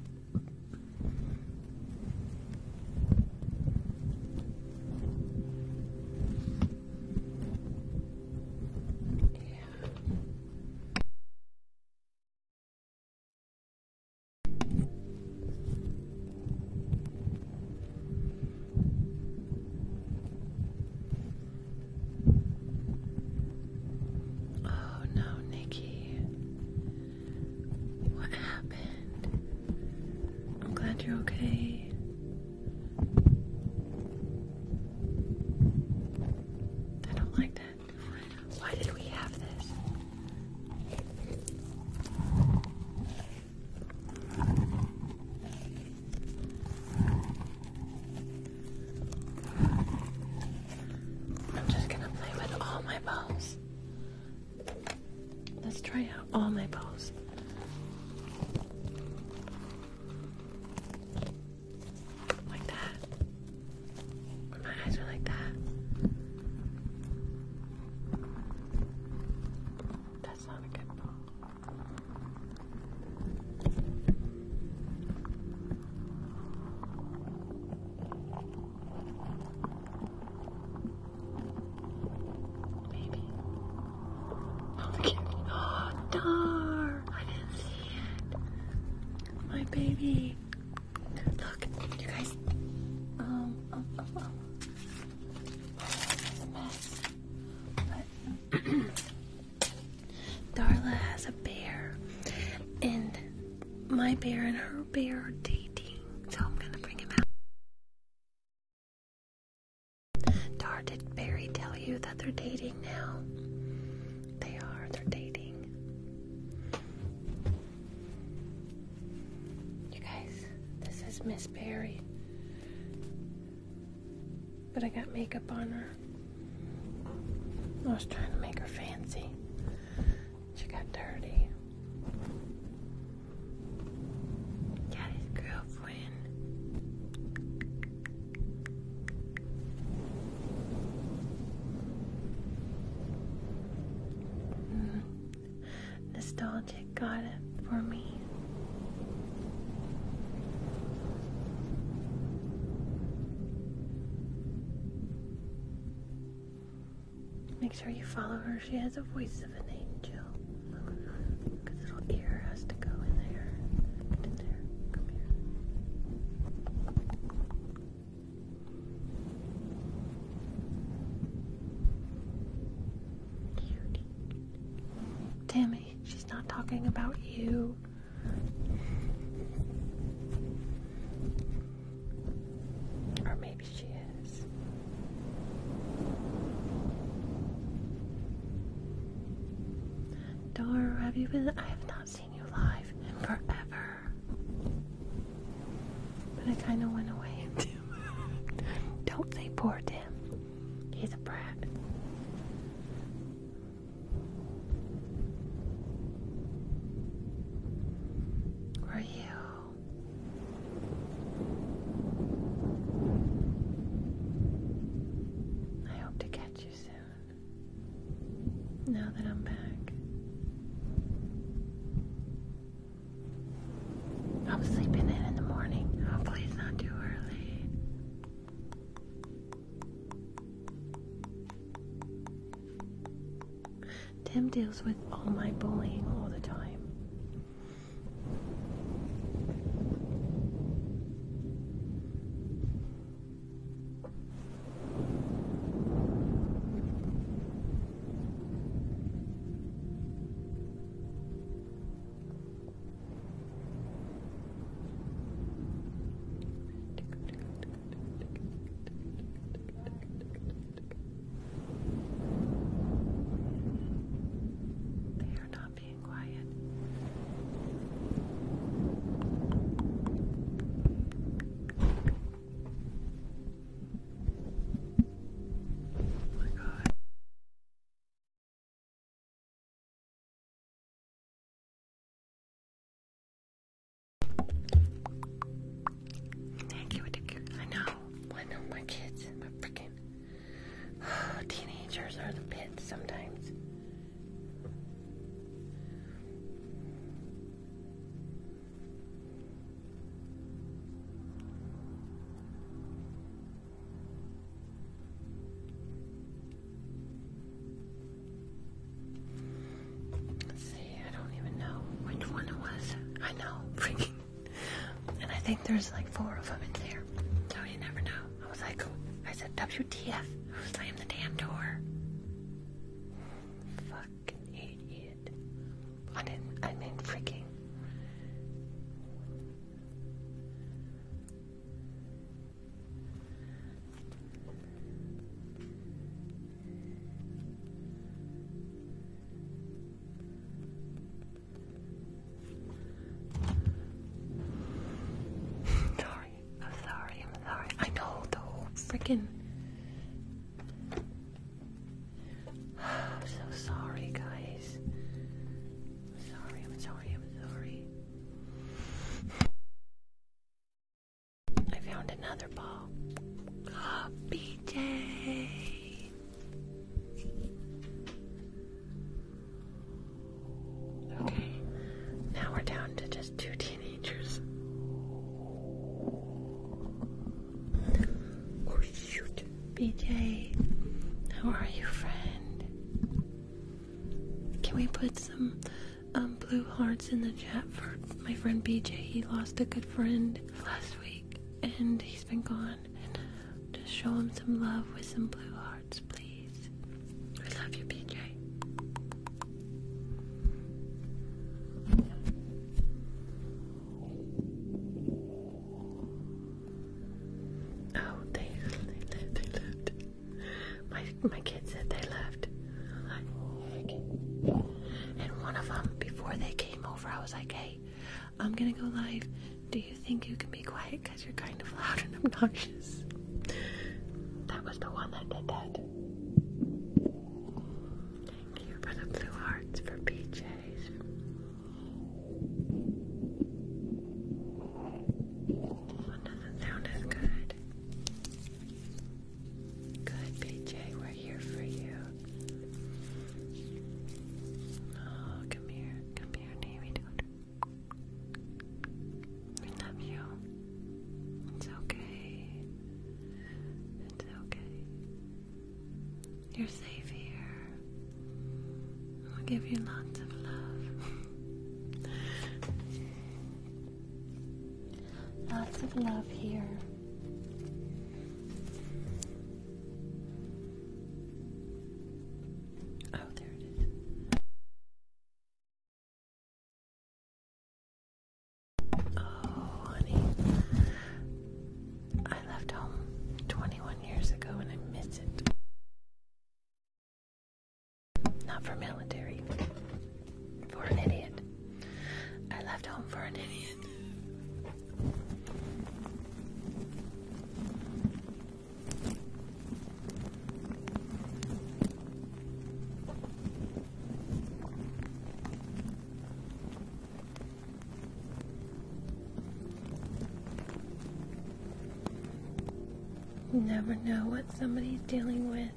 Oh no, Nikki. What happened? I'm glad you're okay. I don't like that. Why did we have this? I'm just gonna play with all my balls. Let's try out all my balls. Like that. My eyes are like that. That's not a good ball. Maybe. Oh, the Oh, darn. My baby. Look, you guys. Um, um, um, um. Darla has a bear, and my bear and her bear are dating, so I'm gonna bring him out. Dar, did Barry tell you that they're dating now? They are, they're dating. You guys, this is Miss Berry, But I got makeup on her. I was trying to make her fancy. She got dirty. Got his girlfriend. Mm. Nostalgic got it for me. Make sure you follow her. She has the voice of an angel. little ear Tammy, she's not talking about you. Or maybe she is. Dora, have you been? I have not seen you live forever. But I kind of went away. Don't think, poor Tim. He's a brat. Were you? I hope to catch you soon now that I'm back. I'm sleeping in in the morning. Hopefully, it's not too early. Tim deals with all my bullying all the time. They are not being quiet. Oh my god. Thank you, thank I know. I know my kids, my freaking teenagers are the pits sometimes. Let's see, I don't even know which one it was. I know, freaking. And I think there's like four of them in there, so you never know. I was like, I said, WTF? Who slammed the damn door? Fucking idiot. I didn't, I mean, freaking. Sorry. I'm sorry, I'm sorry. I know the whole freaking. I'm so sorry, guys. I'm sorry, I'm sorry, I'm sorry. I found another ball. Happy ah, day. Okay, now we're down to just two teenagers. Oh shoot, BJ, how are you, friend? Can we put some um, blue hearts in the chat for my friend BJ? He lost a good friend last week, and he's been gone. just show him some love with some blue hearts, please. We love you, PJ. Oh, they they left. They left. My my kid said they left. And one of them, before they came over, I was like, "Hey, I'm gonna go live. Do you think you can be quiet? Cause you're kind of loud and obnoxious." That was the one that did that. Thank you for the blue hearts for PJs. This doesn't sound as good. Good, PJ, we're here for you. Oh, come here, come here, Navy we love you. It's okay. It's okay. You're safe here. I'll give you lots of love. lots of love here. Oh, there it is. Oh, honey. I left home 21 years ago and I miss it. Not for military. For an idiot. I left home for an idiot. You never know what somebody's dealing with.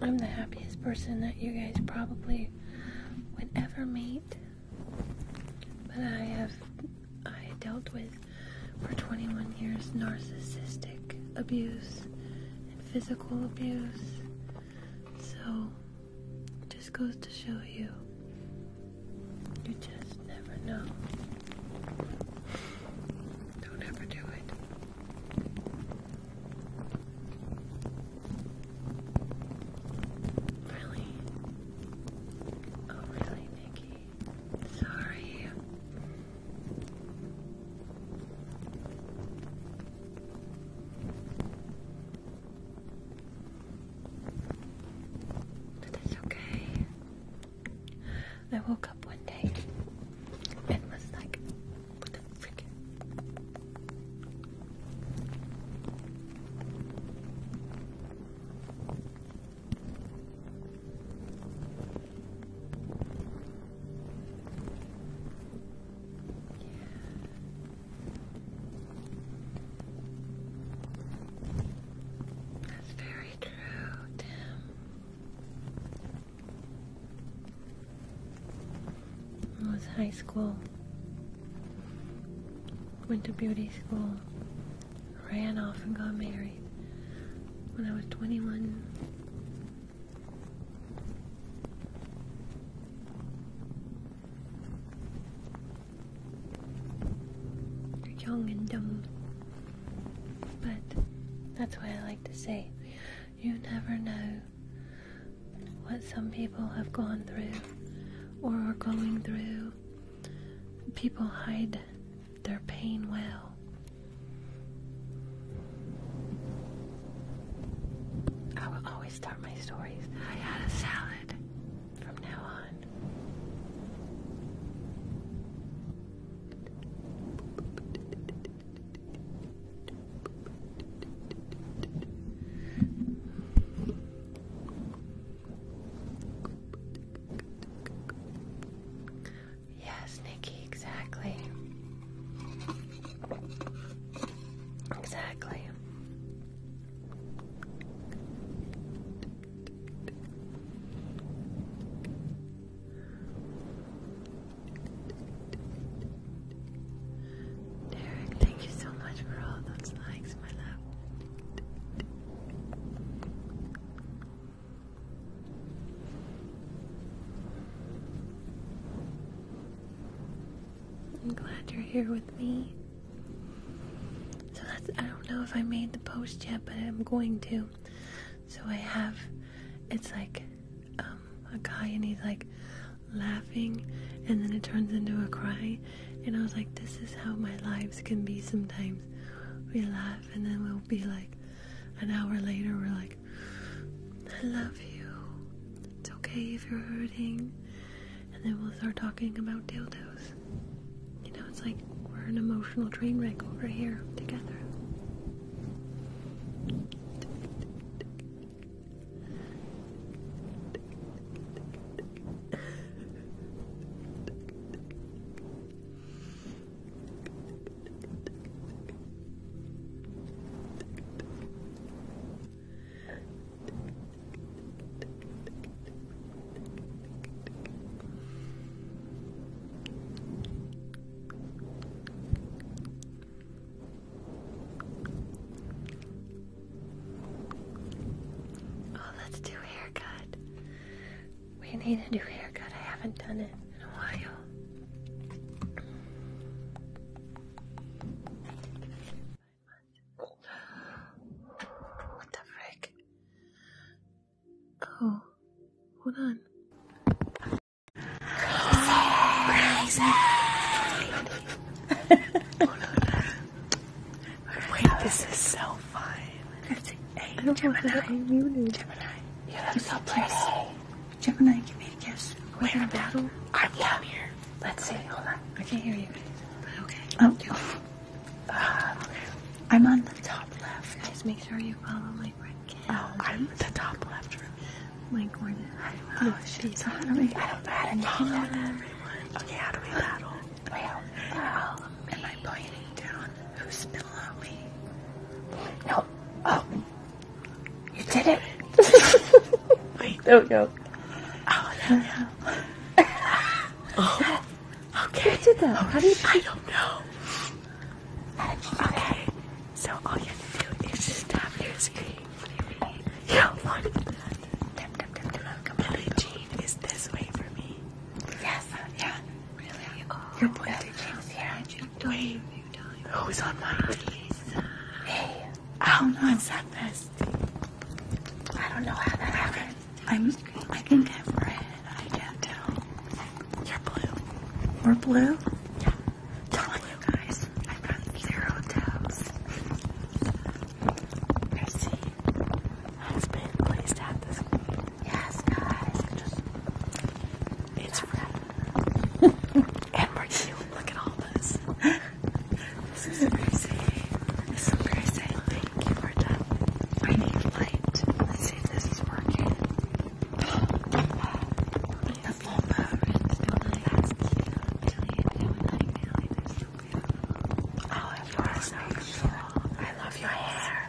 I'm the happiest person that you guys probably would ever meet. But I have I dealt with for 21 years narcissistic abuse and physical abuse. So, it just goes to show you, you just never know. Don't ever do it. Really? Oh, really, Nikki? Sorry that's okay. I woke up one day and was like, what the frick? That's very true, Tim. was high school. Went to beauty school. Ran off and got married when I was 21. You're young and dumb. But that's why I like to say you never know what some people have gone through or are going through. People hide their pain well. I will always start my stories. I had a salad from now on. Yes, Nikki, exactly. Exactly. Derek, thank you so much for all those likes, my love. I'm glad you're here with me. So that's, I don't know if I made the post yet, but I'm going to. So I have, it's like um, a guy and he's like laughing and then it turns into a cry. And I was like, this is how my lives can be sometimes. We laugh and then we'll be like, an hour later, we're like, I love you. It's okay if you're hurting. And then we'll start talking about dildos. You know, it's like we're an emotional train wreck over here together. Oh, let's do haircut. We need a new haircut. I haven't done it in a while. What the frick? Oh, hold on. Crazy, hold on. Wait, this is so fun. That's us Gemini. you look so pretty. Jeff and I give me a kiss. We're in a battle? I'm yeah. here. Let's see. Hold on. I can't hear you. okay. Oh. Uh, I'm on the top left. Guys, make sure you follow my red Oh, I'm the top left. Like where the oh, she's on me. I don't know how to follow everyone. Okay, how do we battle? Well, Am I pointing down? Who's below me? No. Oh. You did it. Wait. Don't go. Oh, no, no. oh. oh okay. Who did that? Oh, How do you? I don't know. Okay. So all you have to do is just tap your screen. You do Tap, tap, tap, tap. Come on. Jean is this way for me. Yes. Yeah. Really? Your boy. Billie Jean's here. Wait. Oh, time. Who's on my Lisa. I don't know. What's that This I don't know how that happened. I'm. I think I'm red. I can't tell. You're blue. We're blue. Yeah. Totally, blue. guys. I've got zero tabs. Mercy has been placed at this. Yes, guys. It's red and we're here. Look at all this. This is crazy. This is crazy. Thank you for that. I need light. Let's see if this is working. wow. The full moon. That's cute. Oh, yours so I love your hair.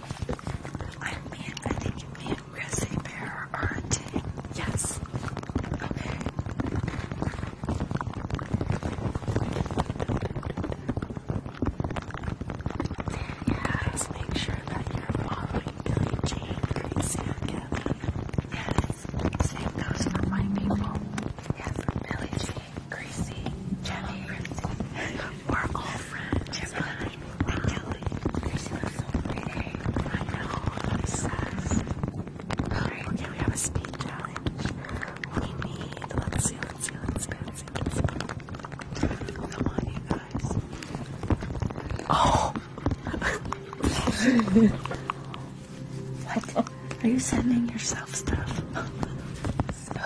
I mean, I think me and Chrissy Bear are a Yes. Okay. Yes, make sure that you're following Billie Jean, Gracie, Yes. Same goes my people. Yes, Billie Jean, Gracie, Jenny. We're all friends. Gemini, and Kelly. Christmas so pretty. I know. I'm Alright, okay, we have a speed challenge. We need, let's see, let's see, let's see, let's see, let's see. Come on, you guys. Oh! what? Are you sending yourself stuff? so,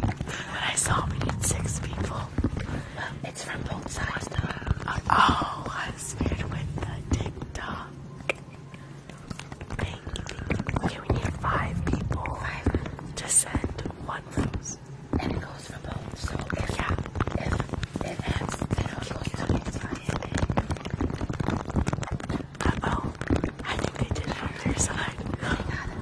when I saw we need six people. It's from both sides though. Oh, I was scared with the TikTok. Okay, we need five people to send one rose. And it goes for both. So yeah. if it ends, oh. I think they did it on their side.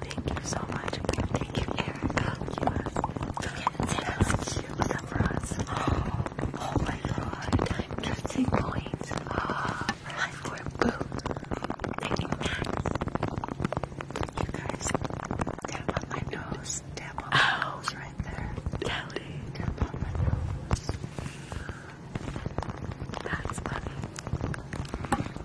Thank you so much. Thank you, Erica. Yes, you was up for us. Oh, oh my god. Time testing points. Oh, ah, right for boom. Thank you, You guys, tap on my nose. Tap on my oh. nose right there. Tally. Tap on my nose. That's funny.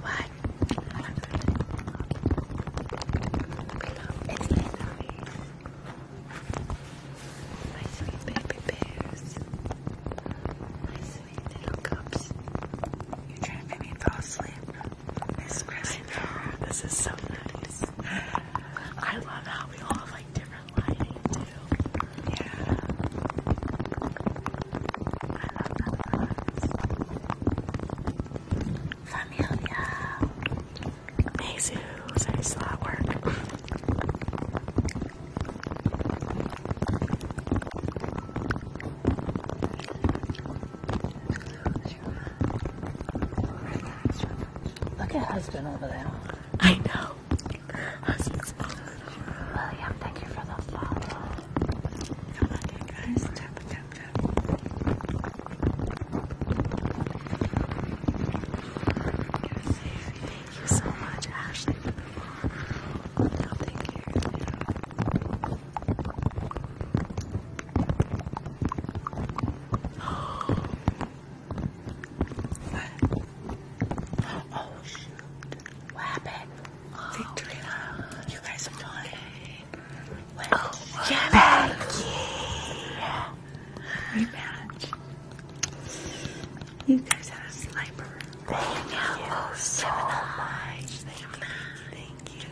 Why it's Henry. baby bears. My sweet little cups. You're trying me fall asleep. Miss Chris. This is so nice. I love how we all have like different lighting too. Yeah. Familia. Mezu. Sorry, it's Look at husband over there. I know. William, thank you for the follow. Come on, you guys, tap, tap, tap. Thank you so much, Ashley, for the vlog. I'll take What? Oh, shoot. What happened? Victoria. You guys are doing it. Becky. Rematch. You guys had a sniper. Thank you oh, so much. Thank you.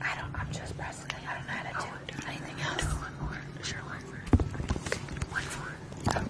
I don't. I'm just pressing. I don't know how to do oh, anything else. one more. Sure, one more. One more.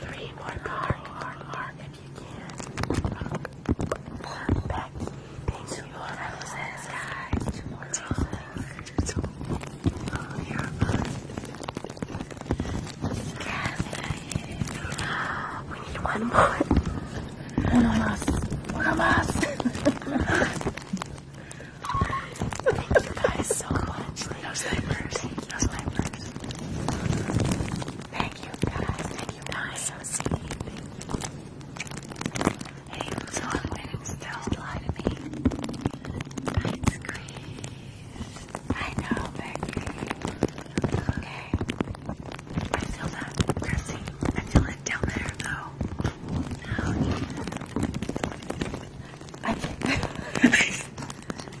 three more mark, if you can. Mark back. Thank you, Lord. guys. Two more roses. Two. Oh, you're fine. Yes. We need one more. One of us. One of us. Thank you guys so much. Those diapers. Those diapers. Thank you guys. Thank you guys. So sweet. Hey, so i lie to me. I know, baby. Okay. I feel that pressing. I feel it down there, though. Oh, yeah. I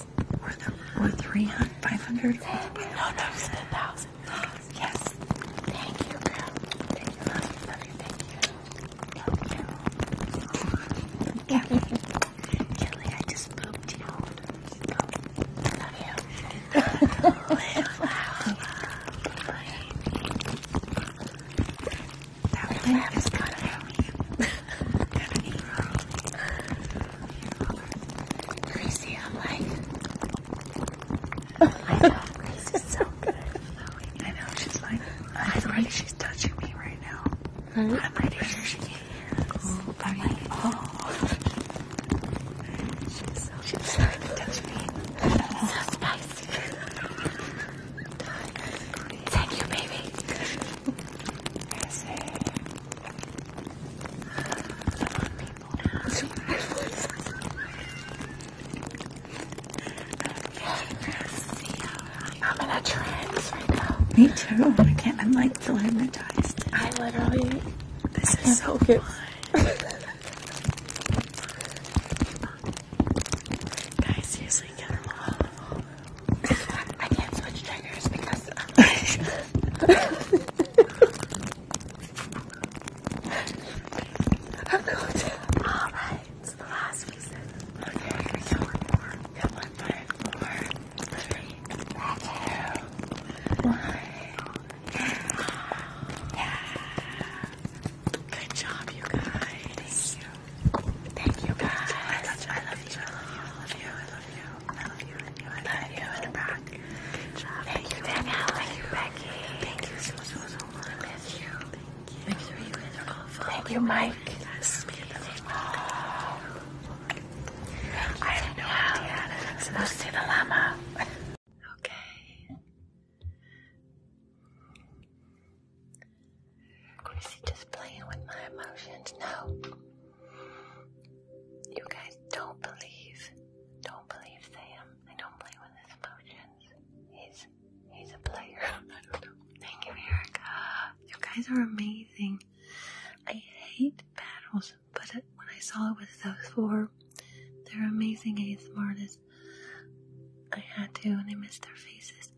Yes. Or the 300, 500. Thank no, no, it's thousand. Yes. Thank you, girl. Thank you, love you, thank you. Love you. Kelly, I just pooped you. I love you. Live loud. That is gonna help you. Gracie, I'm like, I know, Gracie's so good. I know, she's like, I'm like, she's touching me right now. I'm pretty sure she can hear I'm like, oh. She's so, so spicy. Thank you, baby. I'm in a trance right now. Me too. I can't. I'm like so hypnotized. I literally. This is so good. Guys, seriously, get them all. I can't switch triggers because. Um, Alright, it's the last reason. Okay, I Yeah. Good job, you guys. Thank you. Thank you guys. I love you. I love you. I you. I love you. And you. Thank, you, Danielle. Thank you, Becky. Thank you so, so, so much. miss you. Thank you. Thank you, Mike. see the llama. Okay. Chrissy just playing with my emotions. No. You guys don't believe, don't believe Sam. I don't play with his emotions. He's he's a player. Thank you, Erica. You guys are amazing. I hate battles, but when I saw it with those four, they're amazing ASMR artists. I had to, and I missed their faces.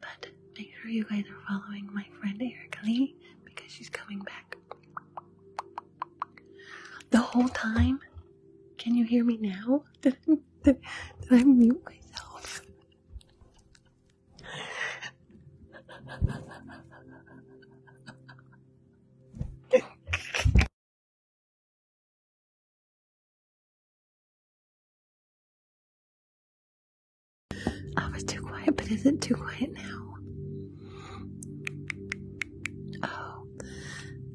But make sure you guys are following my friend Erica Lee because she's coming back. The whole time? Can you hear me now? did I mute myself? I was too quiet, but is it too quiet now? Oh,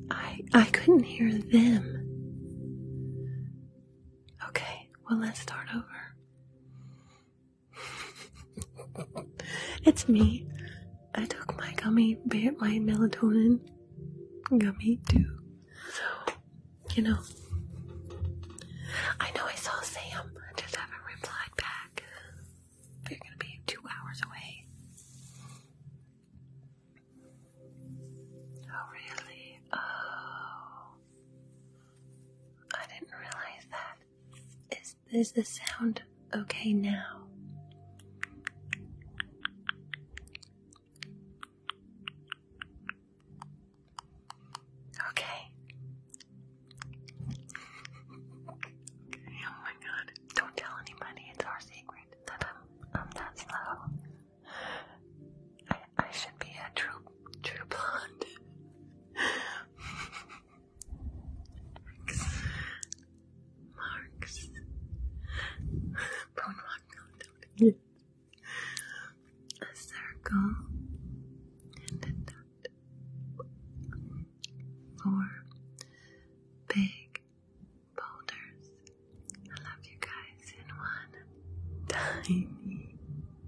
I I couldn't hear them. Okay, well let's start over. it's me. I took my gummy, my melatonin gummy too. So, you know, I know I saw Sam. I just haven't replied back you're gonna be two hours away. Oh, really? Oh. I didn't realize that. Is, is the sound okay now? Okay. Oh my god. Don't tell anybody, it's our secret I'm that slow. I should be a true true blonde. Marks. Bone rock no, circle and a four big boulders. I love you guys in one tiny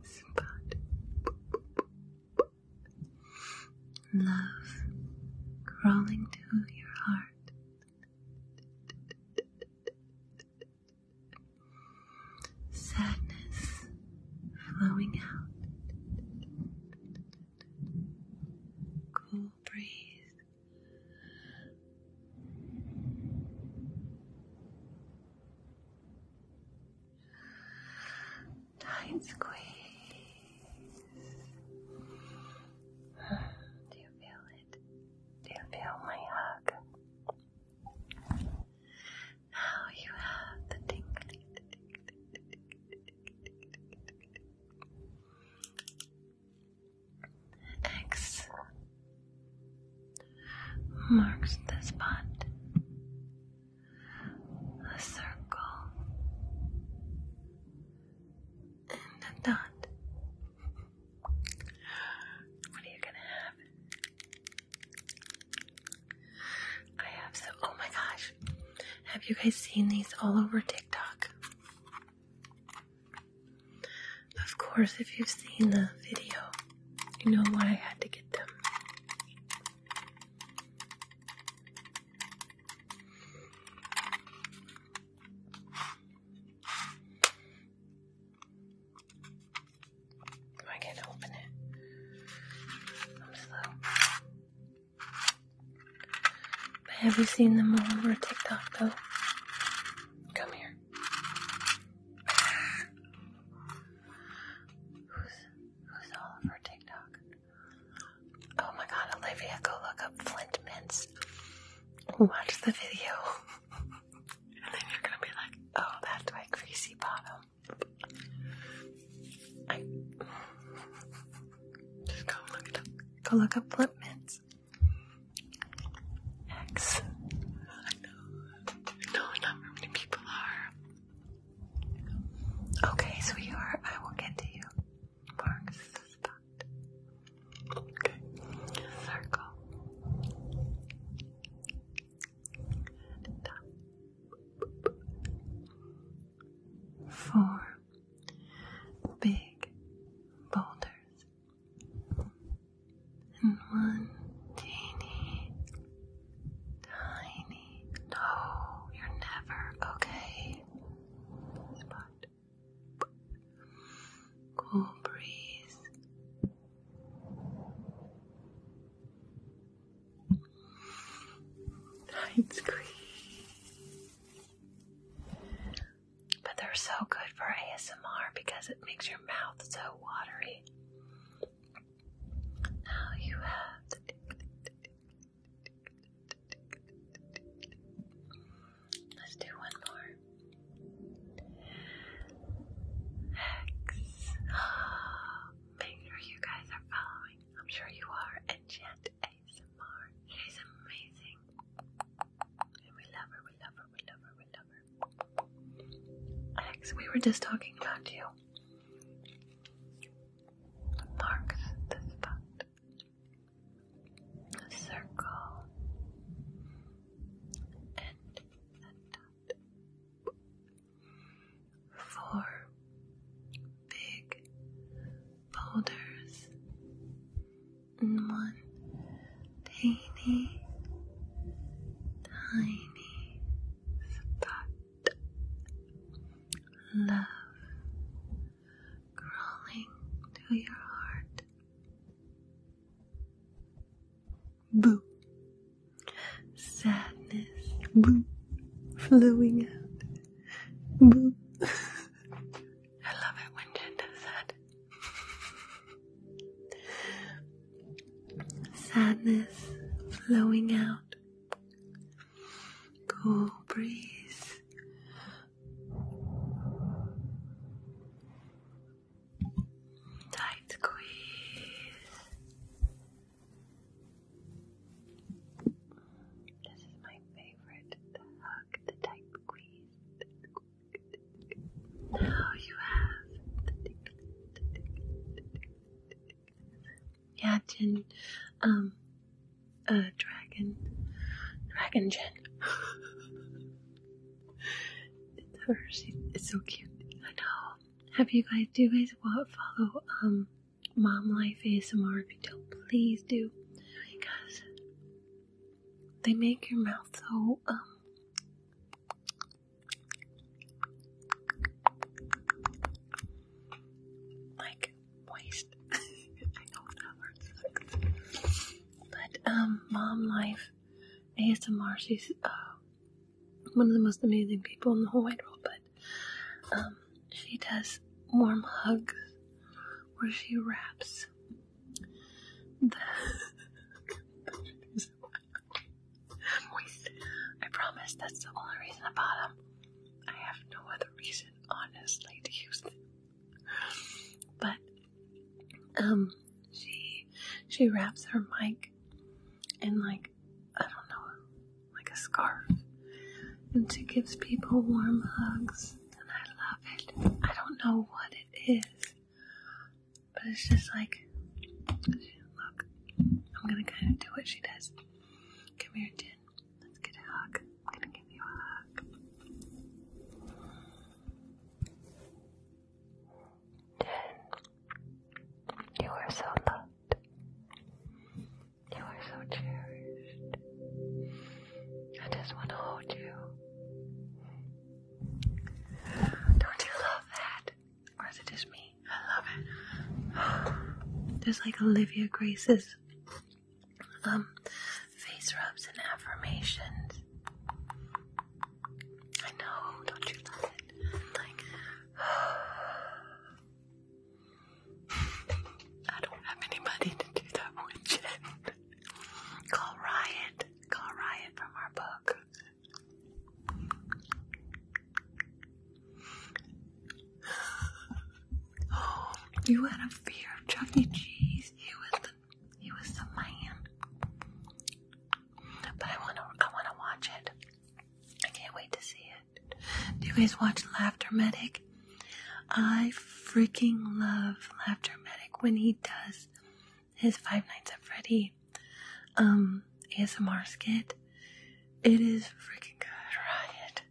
spot. Love crawling to your heart. Sadness flowing out cool breeze. Tight squeeze. Do you feel it? Do you feel my hug? Now you have the tingly, X marks the spot. A circle and a dot. What are you gonna have? I have so. Oh my gosh. Have you guys seen these all over TikTok? Of course, if you've seen the video, you know why I had to get them. I can't open it. I'm slow. Have you seen them all over TikTok though? Come here. Who's who's all TikTok? Oh my god, Olivia, go look up Flint Mints. Watch the video. and then you're gonna be like, oh that's my greasy bottom. I just go look it up. Go look up flip mints. X. I know. I not many people are. Okay, sweetheart, I will get to you. Marks the spot. Okay. Circle. top four big boulders and one teeny tiny. No, you're never okay. Cool breeze. It's cream. But they're so good for ASMR because it makes your mouth so watery. Now you have Let's do one more. X. Oh, sure you guys are following. I'm sure you are. Enchant ASMR. She's amazing. And we love her, we love her, we love her, we love her. Alex, we were just talking about you. Mark the spot. A circle. And a dot four big boulders and one teeny tiny spot love crawling to your heart. Boo. Sadness, boo, flowing out Boop. I love it when Jen does that. Sadness flowing out. Cool breeze. Tight squeeze. This is my favorite, the hug, the tight squeeze. Now oh, you have. Yeah, Jin, um, uh, dragon, dragon Jin. it's her. it's so cute. I know. Have you guys? Do you guys follow um Mom Life ASMR video, please do because they make your mouth so um like moist. but um, Mom Life ASMR, she's uh, one of the most amazing people in the whole wide world. But um, she does warm hugs where she wraps I promise that's the only reason I bought I have no other reason, honestly, to use But um, she she wraps her mic and like I don't know like a scarf, and she gives people warm hugs, and I love it. I don't know what it is, but it's just like, look, I'm gonna kind of do what she does. Come here, Jin. Let's get a hug. I'm gonna give you a hug. Jen, you are so loved. You are so cherished. I just want to hold you. Don't you love that? Or is it just me? I love it. There's like Olivia Grace's um face rubs and affirmations. I know, don't you love it? I don't have anybody to do that with Call Riot. Call Riot from our book. Oh, you had a fear of Chuck Cheese. He was he was the man. But I wanna I wanna watch it. I can't wait to see it. Do you guys watch Laughter Medic? I freaking love Laughter Medic when he does his Five Nights at Freddy um ASMR skit. It is freaking good, right?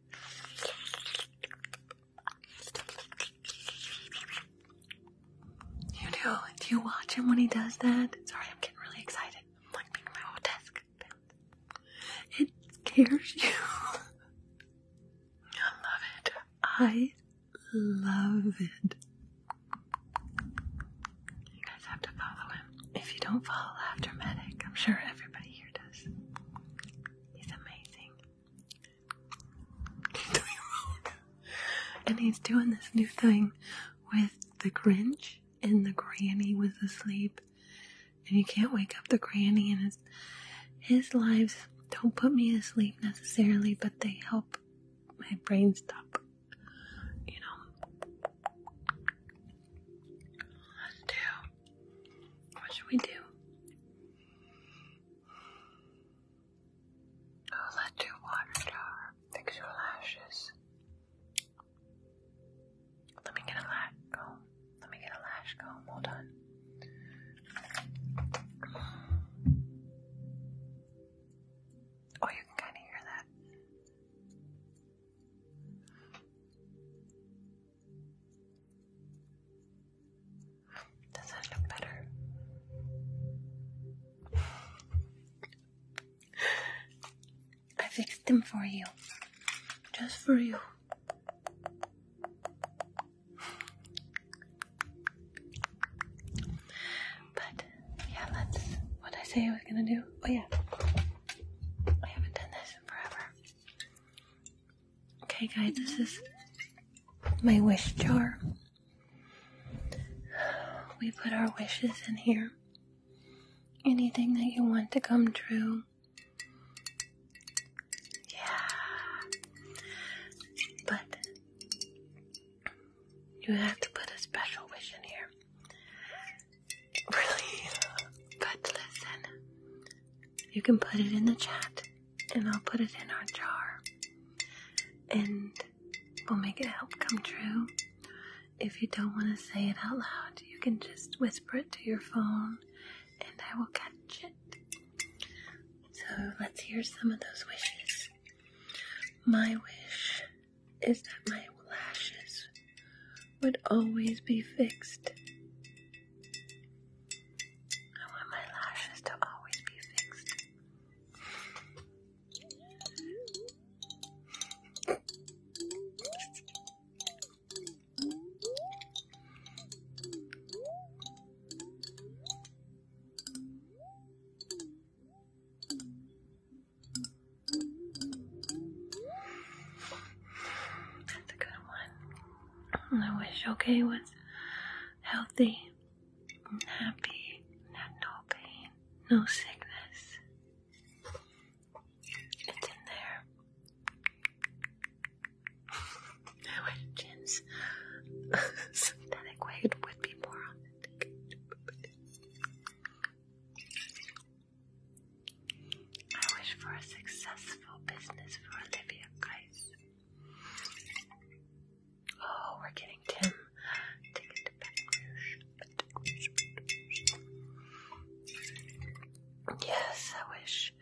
You do? Do you watch him when he does that? Sorry, I'm getting really excited. I'm like being my whole desk. It scares you. I love it. I love it. You guys have to follow him. If you don't follow Laughter Medic, I'm sure everybody here does. He's amazing. He's doing road. And he's doing this new thing with the Grinch and the granny was asleep and you can't wake up the granny and his lives don't put me to sleep necessarily, but they help my brain stop. You know. Let's What should we do? Oh, let's do water jar. Fix your lashes. Let me get a light. Let me get a lash comb. Hold on. Oh, you can kind of hear that. Does that look better? I fixed them for you. Just for you. But yeah, let's. What I say I was gonna do? Oh yeah, I haven't done this in forever. Okay, guys, this is my wish jar. We put our wishes in here. Anything that you want to come true, yeah. But you have to put a special wish in here. Really? But listen, you can put it in the chat, and I'll put it in our jar. And we'll make it help come true. If you don't want to say it out loud, you can just whisper it to your phone and I will catch it. So let's hear some of those wishes. My wish is that my lashes would always be fixed. I want my lashes to always be fixed. That's a good one. I wish okay was healthy happy had no pain, no sickness. It's in there. I wish Jin's synthetic weight would be more authentic. I wish for a successful business for Olivia, guys. Oh, we're getting Tim. Yes, I wish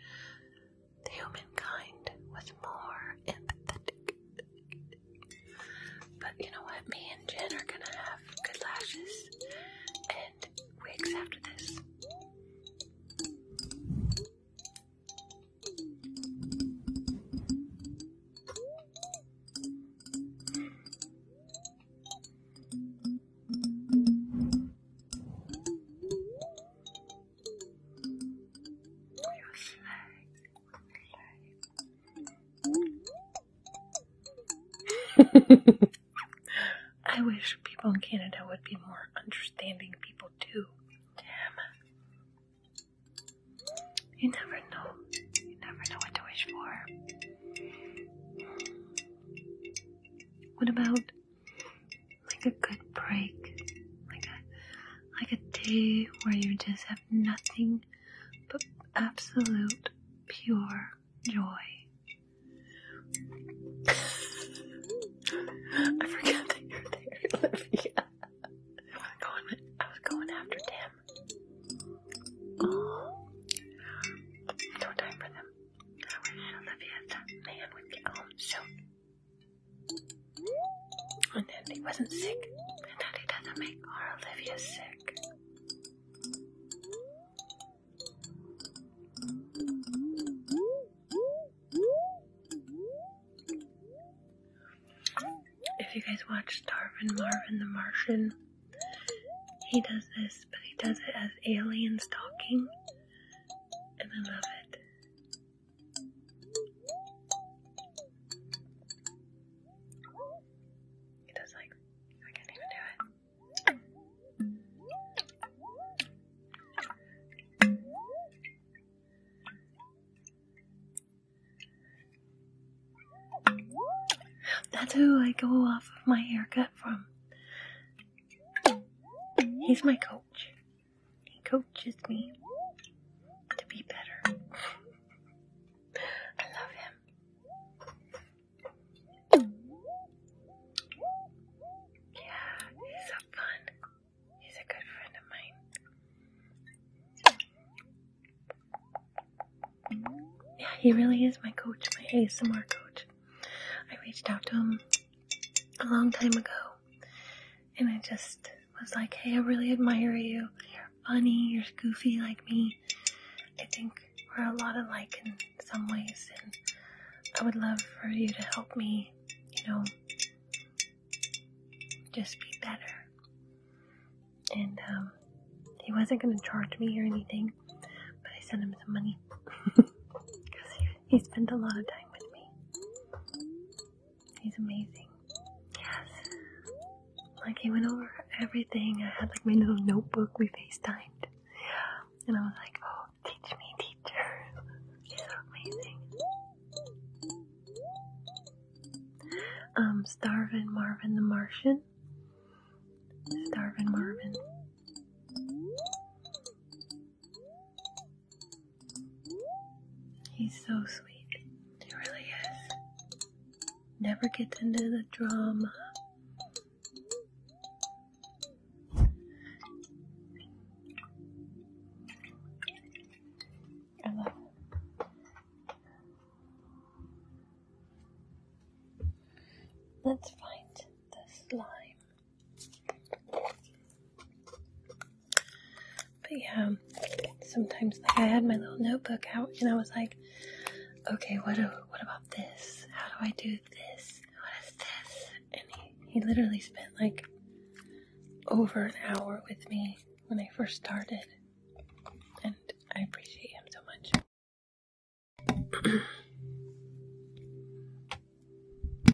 Human kind was more empathetic. But you know what? Me and Jen are gonna have good lashes and wigs after this. I wish people in Canada would be more understanding people too. Damn. You never know. You never know what to wish for. What about like a good break, like a like a day where you just have nothing but absolute pure joy. I forgot that you're there, Olivia. I was going, I was going after Tim. Oh, no time for them. Olivia, man would get oh, home soon. And that he wasn't sick, and that he doesn't make our Olivia sick. If you guys watch Darwin Marvin the Martian, he does this, but he does it as aliens talking, and I love it. That's who I go off of my haircut from. He's my coach. He coaches me to be better. I love him. Yeah, he's so fun. He's a good friend of mine. Yeah, he really is my coach, my ASMR coach. I reached out to him a long time ago and I just was like, hey, I really admire you. You're funny, you're goofy like me. I think we're a lot alike in some ways, and I would love for you to help me, you know, just be better. And um, he wasn't going to charge me or anything, but I sent him some money He spent a lot of time with me. He's amazing. Yes. Like he went over everything. I had like my little notebook we FaceTimed. And I was like, oh, teach me, teacher. He's so amazing. Um, Starvin Marvin the Martian. Starvin Marvin. He's so sweet. He really is. Never gets into the drama. I Let's find the slime. But yeah, sometimes I had my little notebook out and I was like, okay, what what about this? How do I do this? What is this? And he, he literally spent like over an hour with me when I first started. And I appreciate him so much.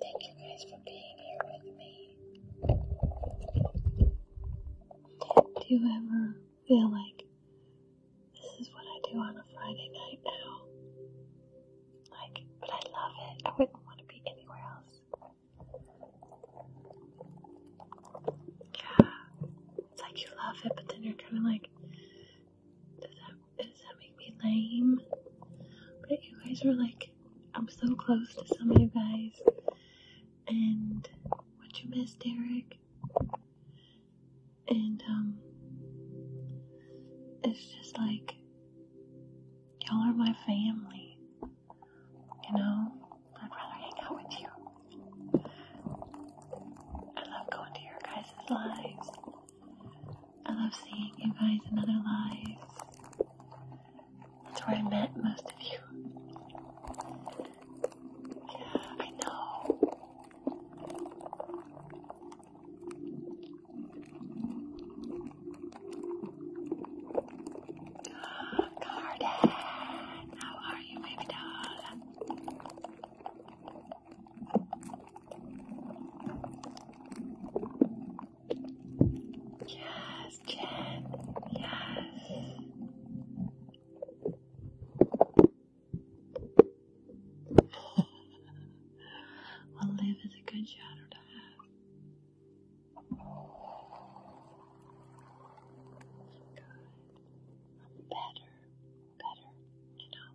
Thank you guys for being here with me. Do you ever feel like this is what I do on a Friday night now? Like, but I love it. I wouldn't want to be anywhere else. Yeah. It's like you love it, but then you're kind of like, does that, make me lame? But you guys are like, I'm so close to some of you guys. And what you miss, Derek. And, um, it's just like, y'all are my family. You know? I'd rather hang out with you. I love going to your guys' lives. I love seeing you guys in other lives. That's where I met most of you. Yeah, I know. Garden, how are you, baby doll? Yes, Jen. Yes. well, Liv is a good shadow to have. Good. I'm better. Better, you know.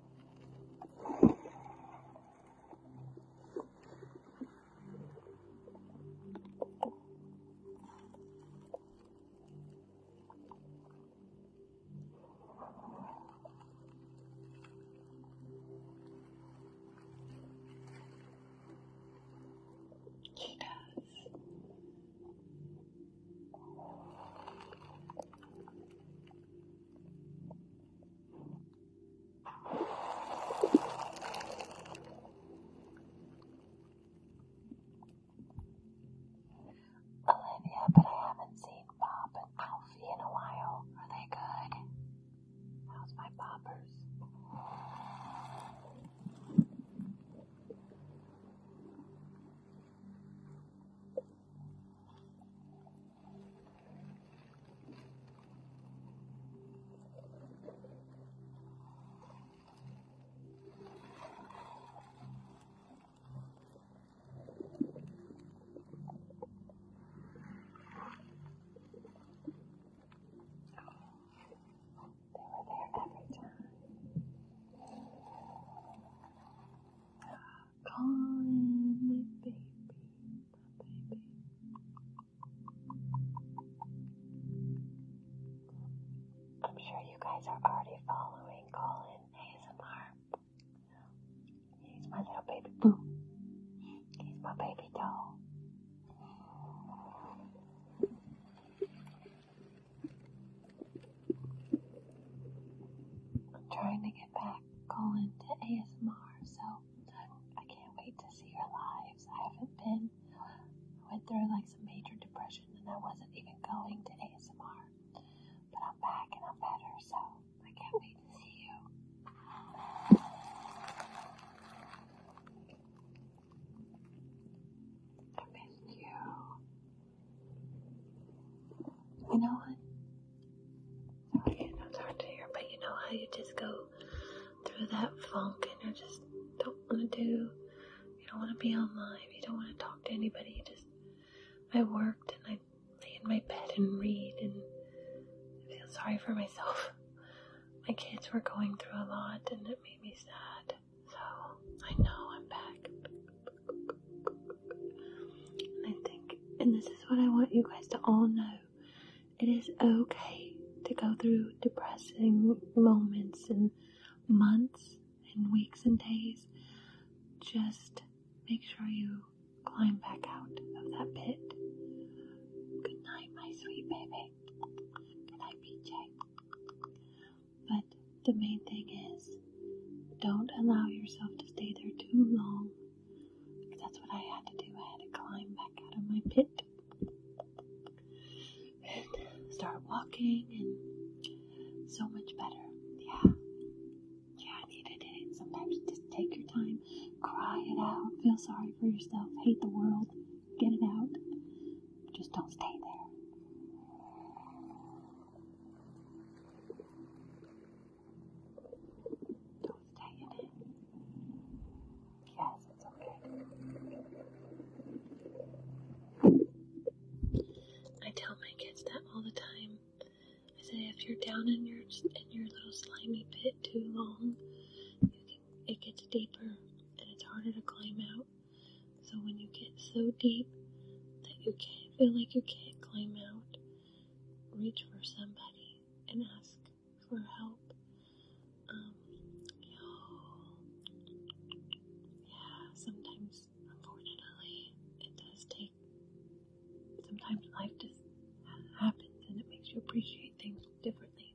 He does. Olivia, but I haven't seen Bob and Alfie in a while. Are they good? How's my boppers? They were there every time calling my baby, my baby. I'm sure you guys are already following Colin ASMR. He's my little baby boo. He's my baby doll. I'm trying to get back back going to ASMR, so I can't wait to see your lives. I haven't been, I went through like some major depression and I wasn't even going to ASMR, but I'm back and I'm better, so I can't wait to see you. I miss you. You know what? You know, it's hard to hear, but you know how you just go through that funk and you just don't want to do, you don't want to be online, you don't want to talk to anybody. You just, I worked and I lay in my bed and read and I feel sorry for myself. My kids were going through a lot and it made me sad. So I know I'm back. And I think, and this is what I want you guys to all know it is okay to go through depressing moments and months and weeks and days. Just make sure you climb back out of that pit. Good night, my sweet baby. Good night, PJ. But the main thing is don't allow yourself to stay there too long that's what I had to do. I had to climb back out of my pit and start walking, and so much better. Yeah, yeah, I needed it. Sometimes just take your time, cry it out, feel sorry for yourself, hate the world, get it out. Just don't stay there. Don't stay in it. Yes, it's okay. I tell my kids that all the time. I say if you're down in your in your little slimy pit too long, it gets deeper and it's harder to climb out. So when you get so deep that you can't feel like you can't climb out, reach for somebody and ask for help. Um, yeah, sometimes, unfortunately, it does take. Sometimes life just happens and it makes you appreciate things differently.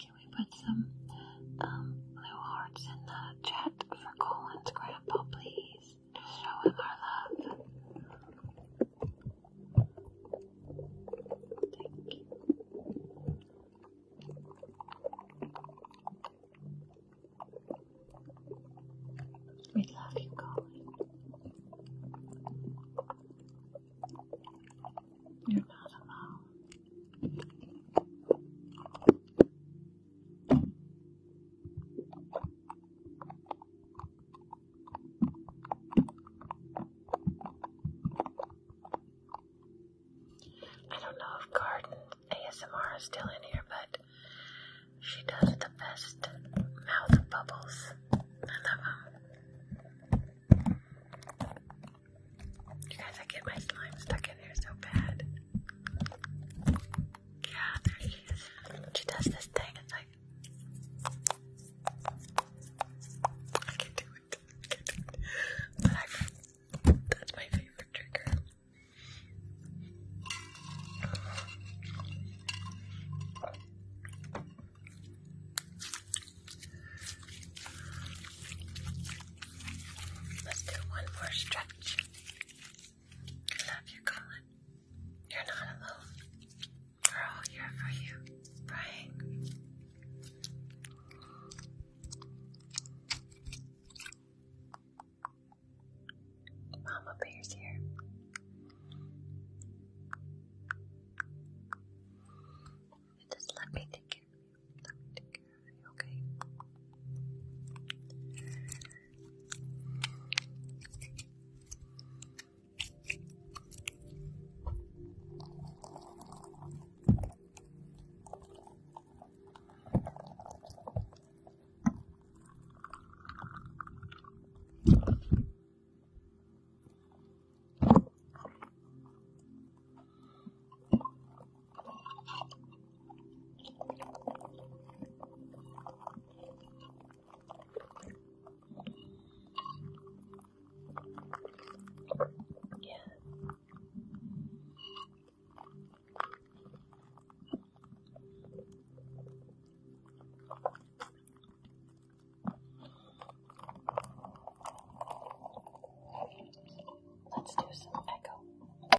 Can we put some blue um, hearts in the a jet for Colin's grandpa, please, Just showing our love. Thank you. We love you, Colin. You're not alone. I don't know if garden ASMR is still in here, but she does the best mouth bubbles. I love them. You guys, I get my slime stuck in yeah, there she is. She does this thing, it's like. I can do do it. But I, that's my favorite trigger. Let's do one more stretch. I love you, Colin. You're not alone. We're for you, Brian. Mama Bear's here. Just let me take care of you care you, Okay. Yeah. Let's do some echo.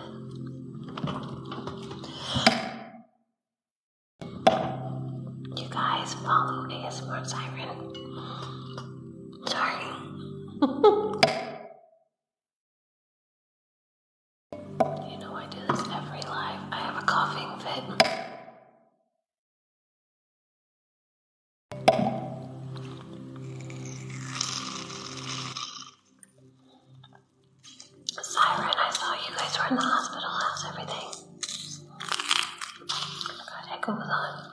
You guys follow ASMR Siren. Sorry. You know I do this every live. I have a coughing fit. Siren, I saw you guys were in the hospital. How's everything? Got echo on.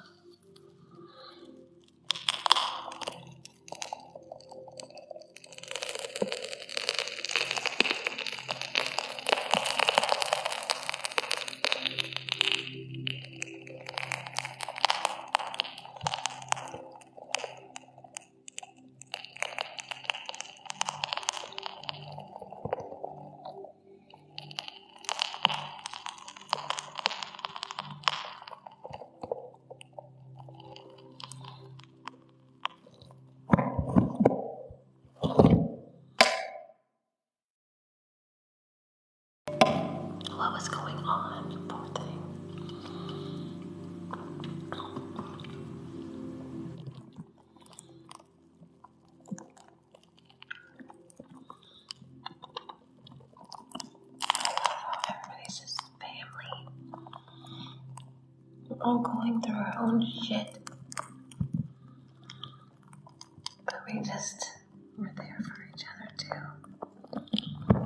What was going on? Poor thing. Everybody's family. We're all going through our own shit. But we just were there for each other too.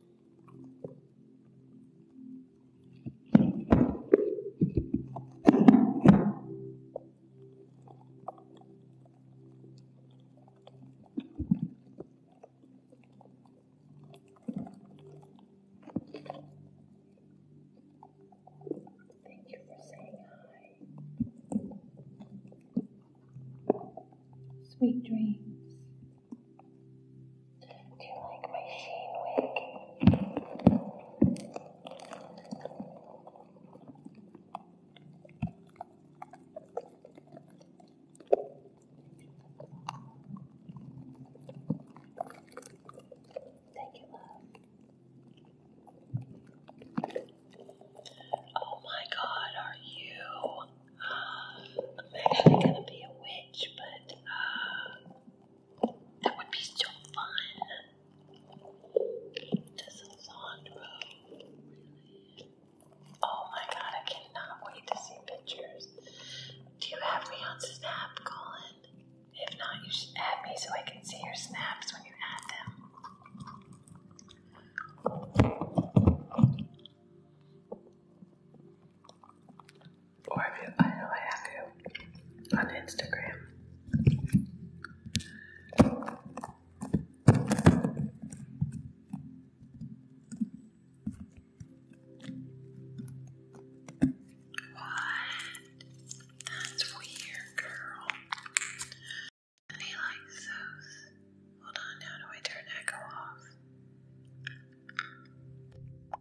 Thank you for saying hi. Sweet dreams. Do you like my sheen wig? Thank you, Oh my god, are you? Um, I'm not gonna be a witch, but uh, that would be so fun. This Oh my god, I cannot wait to see pictures. Do you have me on Snap, Colin? If not, you should add me so I can see your snaps when you add them. Or if you, I know I have you on Instagram. What? That's weird, girl. And he likes those. Hold on, how do I turn echo off?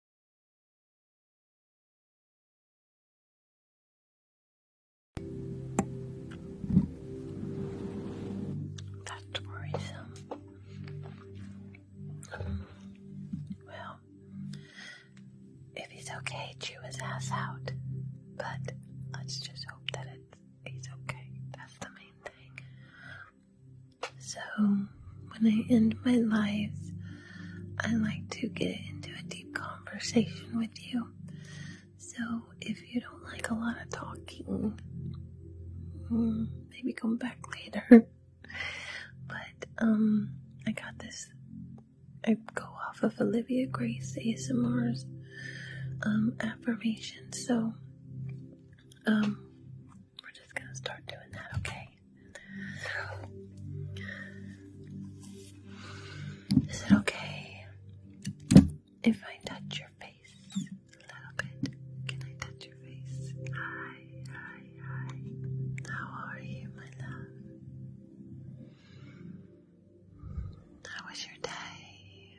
That's worrisome. Well, if he's okay, chew his ass out. But let's just hope that it's, he's okay. That's the main thing. So, when I end my life i like to get into a deep conversation with you. So, if you don't like a lot of talking, hmm, maybe come back later. but, um, I got this. I go off of Olivia Grace ASMR's um, affirmation. So, um, we're just gonna start doing that, okay? okay. Is it okay if I touch your face a little bit? Can I touch your face? Hi, hi, hi. How are you, my love? How was your day?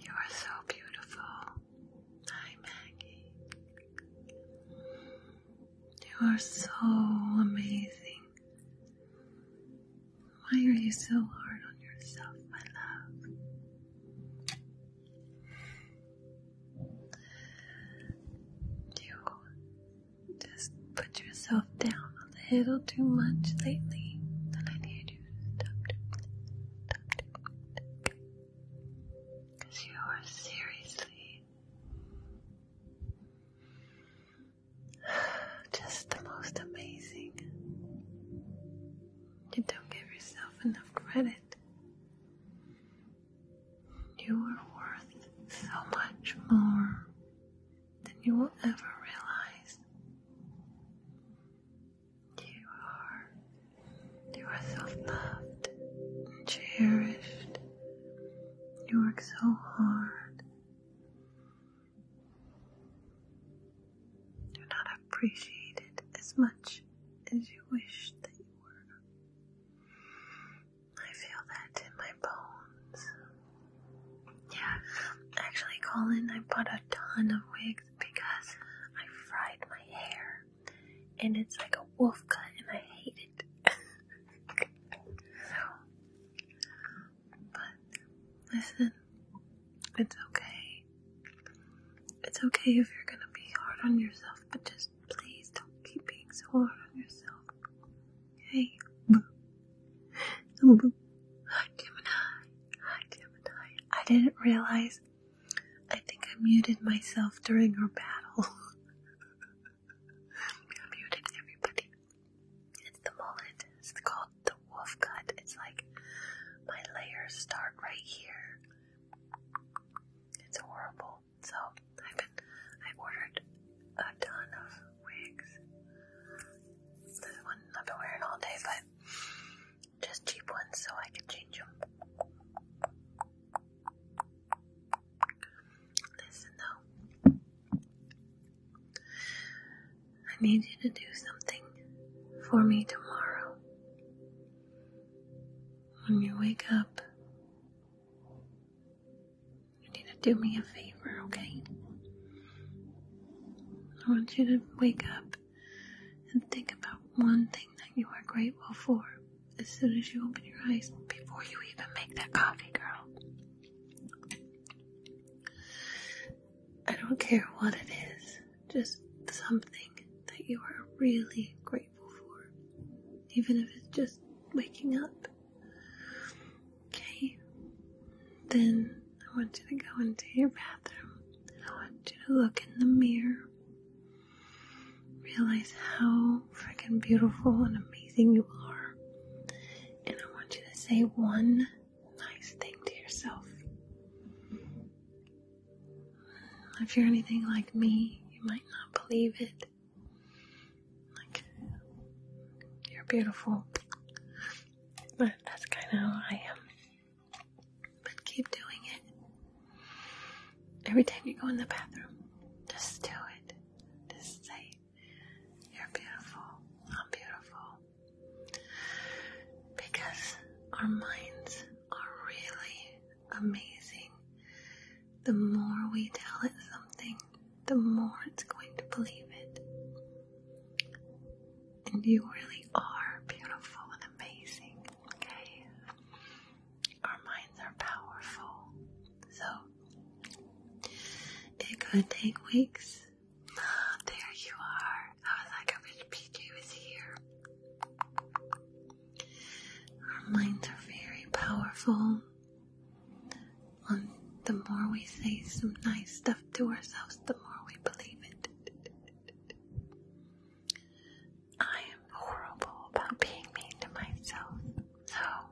You are so beautiful. Hi, Maggie. You are so amazing. Why are you so hard on yourself, my love? You just put yourself down a little too much lately, and I need you to stop doing that. Because you are seriously Just the most amazing. You don't give yourself enough credit. You are worth so much more than you will ever realize. You are you are self-loved and cherished. You work so hard. You're not appreciated as much as you wish that you were. I feel that in my bones. Yeah, actually, Colin, I bought a ton of wigs because I fried my hair and it's like a wolf cut, and I hate it. but listen, it's okay. It's okay if you're gonna be hard on yourself, but just please don't keep being so hard on yourself. Hey, Hi, Gemini. Hi, Gemini. I didn't realize. I think I muted myself during our battle. I muted everybody. It's the mullet. It's called the wolf cut. It's like my layers start right here. It's horrible. So I've been, I ordered a ton of wigs. This one I've been wearing all day, but just cheap ones so I can change them. Listen though. I need you to do something for me tomorrow. When you wake up, you need to do me a favor, okay? I want you to wake up and think about one thing that you are grateful for as soon as you open your eyes, before you even make that coffee, girl. I don't care what it is, just something that you are really grateful for, even if it's just waking up. Okay? Then I want you to go into your bathroom. I want you to look in the mirror. Realize how freaking beautiful and amazing you are. And I want you to say one nice thing to yourself. If you're anything like me, you might not believe it. Like, you're beautiful. But that's kind of how I am. But keep doing it. Every time you go in the bathroom, just do it. Just say, You're beautiful. I'm beautiful. Because our minds are really amazing. The more we tell it something, the more it's going to believe it. And you really are beautiful and amazing, okay? Our minds are powerful, so it could take weeks. there you are. I was like, I wish PJ was here. Our minds are very powerful. Um, the more we say some nice stuff to ourselves, the more we believe it. I am horrible about being mean to myself. So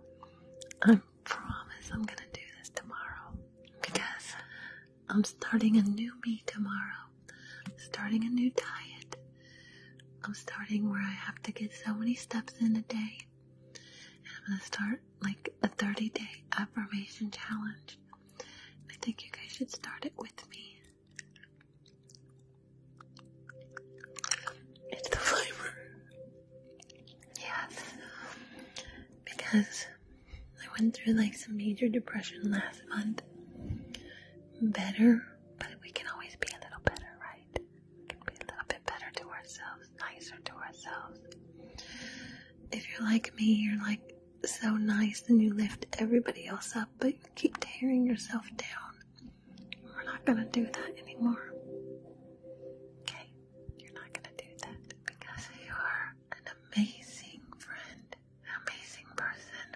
I promise I'm gonna do this tomorrow because I'm starting a new me tomorrow. Starting a new diet. I'm starting where I have to get so many steps in a day. And I'm gonna start like a 30 day affirmation challenge. I think you guys should start it with me. It's the flavor. Yes. Because I went through like some major depression last month. Better, but we can always be a little better, right? We can be a little bit better to ourselves, nicer to ourselves. If you're like me, you're like so nice and you lift everybody else up, but you keep tearing yourself down. We're not going to do that anymore. Okay? You're not going to do that because you are an amazing friend, amazing person.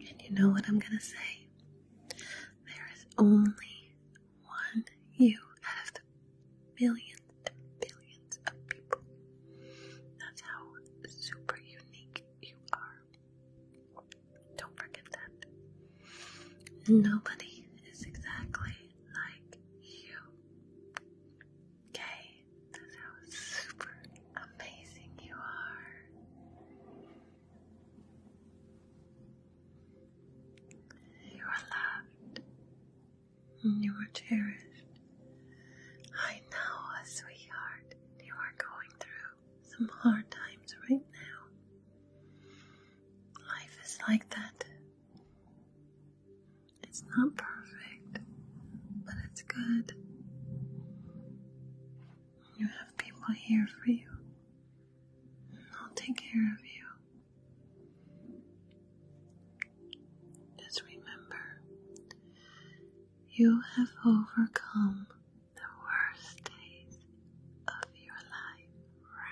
And you know what I'm going to say? There is only one you out of the millions and billions of people. That's how super unique you are. Don't forget that. Nobody is exactly like you. Okay? That's how super amazing you are. You are loved. You are cherished. I know, sweetheart, you are going through some hard times right now. Life is like that. It's not perfect, but it's good. You have people here for you. I'll take care of you. Just remember, you have overcome the worst days of your life. Wow,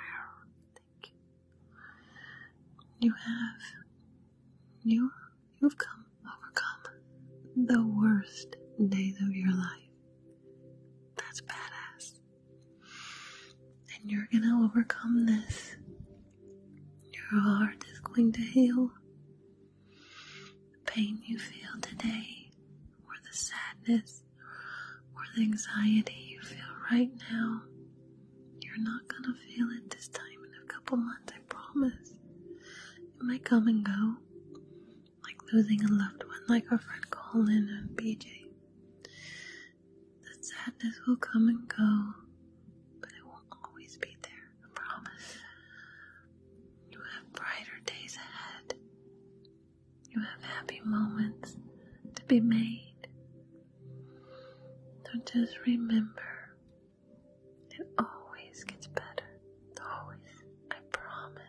You have you you've come overcome the worst days of your life. That's badass. And you're gonna overcome this. Your heart is going to heal. The pain you feel today, or the sadness, or the anxiety you feel right now, you're not gonna feel it this time in a couple months, I promise. It might come and go, like losing a loved one, like our friend Colin and BJ. The sadness will come and go, but it will always be there, I promise. You have brighter days ahead. You have happy moments to be made. So just remember, it always gets better. Always. I promise.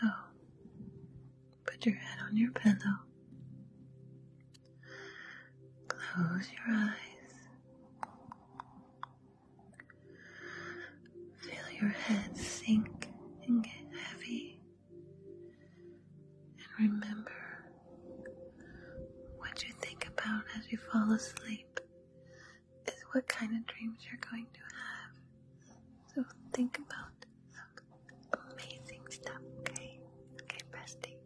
So, put your head on your pillow. Close your eyes. Feel your head sink and get heavy. And remember what you think about as you fall asleep is what kind of dreams you're going to have. So think about amazing stuff, okay? Okay, bestie.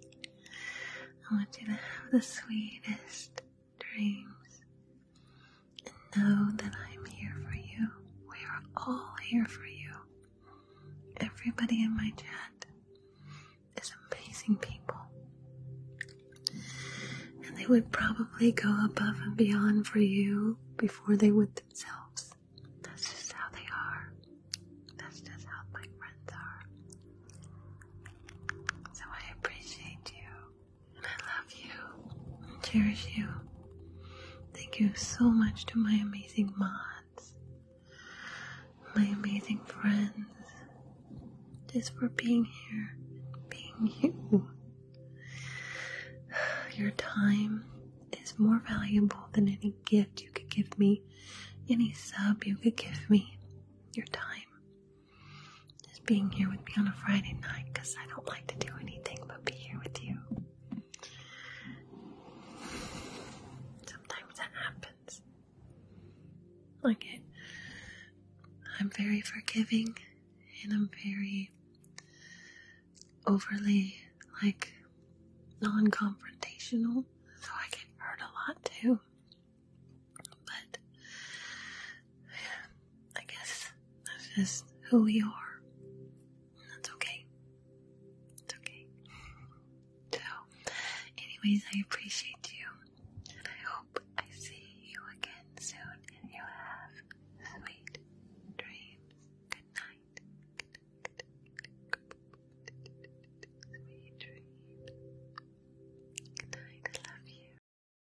I want you to have the sweetest, dreams. And know that I'm here for you. We are all here for you. Everybody in my chat is amazing people. And they would probably go above and beyond for you before they would themselves. That's just how they are. That's just how my friends are. So I appreciate you. And I love you and cherish you. Thank you so much to my amazing mods, my amazing friends, just for being here, being you. Your time is more valuable than any gift you could give me, any sub you could give me. Your time just being here with me on a Friday night because I don't like to do anything but be here with you. Sometimes that happens. Like it, I'm very forgiving and I'm very overly like non confrontational, so I get hurt a lot too. But I guess that's just who we are. That's okay. It's okay. So, anyways, I appreciate you. And I hope I see you again soon. And you have sweet dreams. Good night. Sweet dreams. Good night. I love you.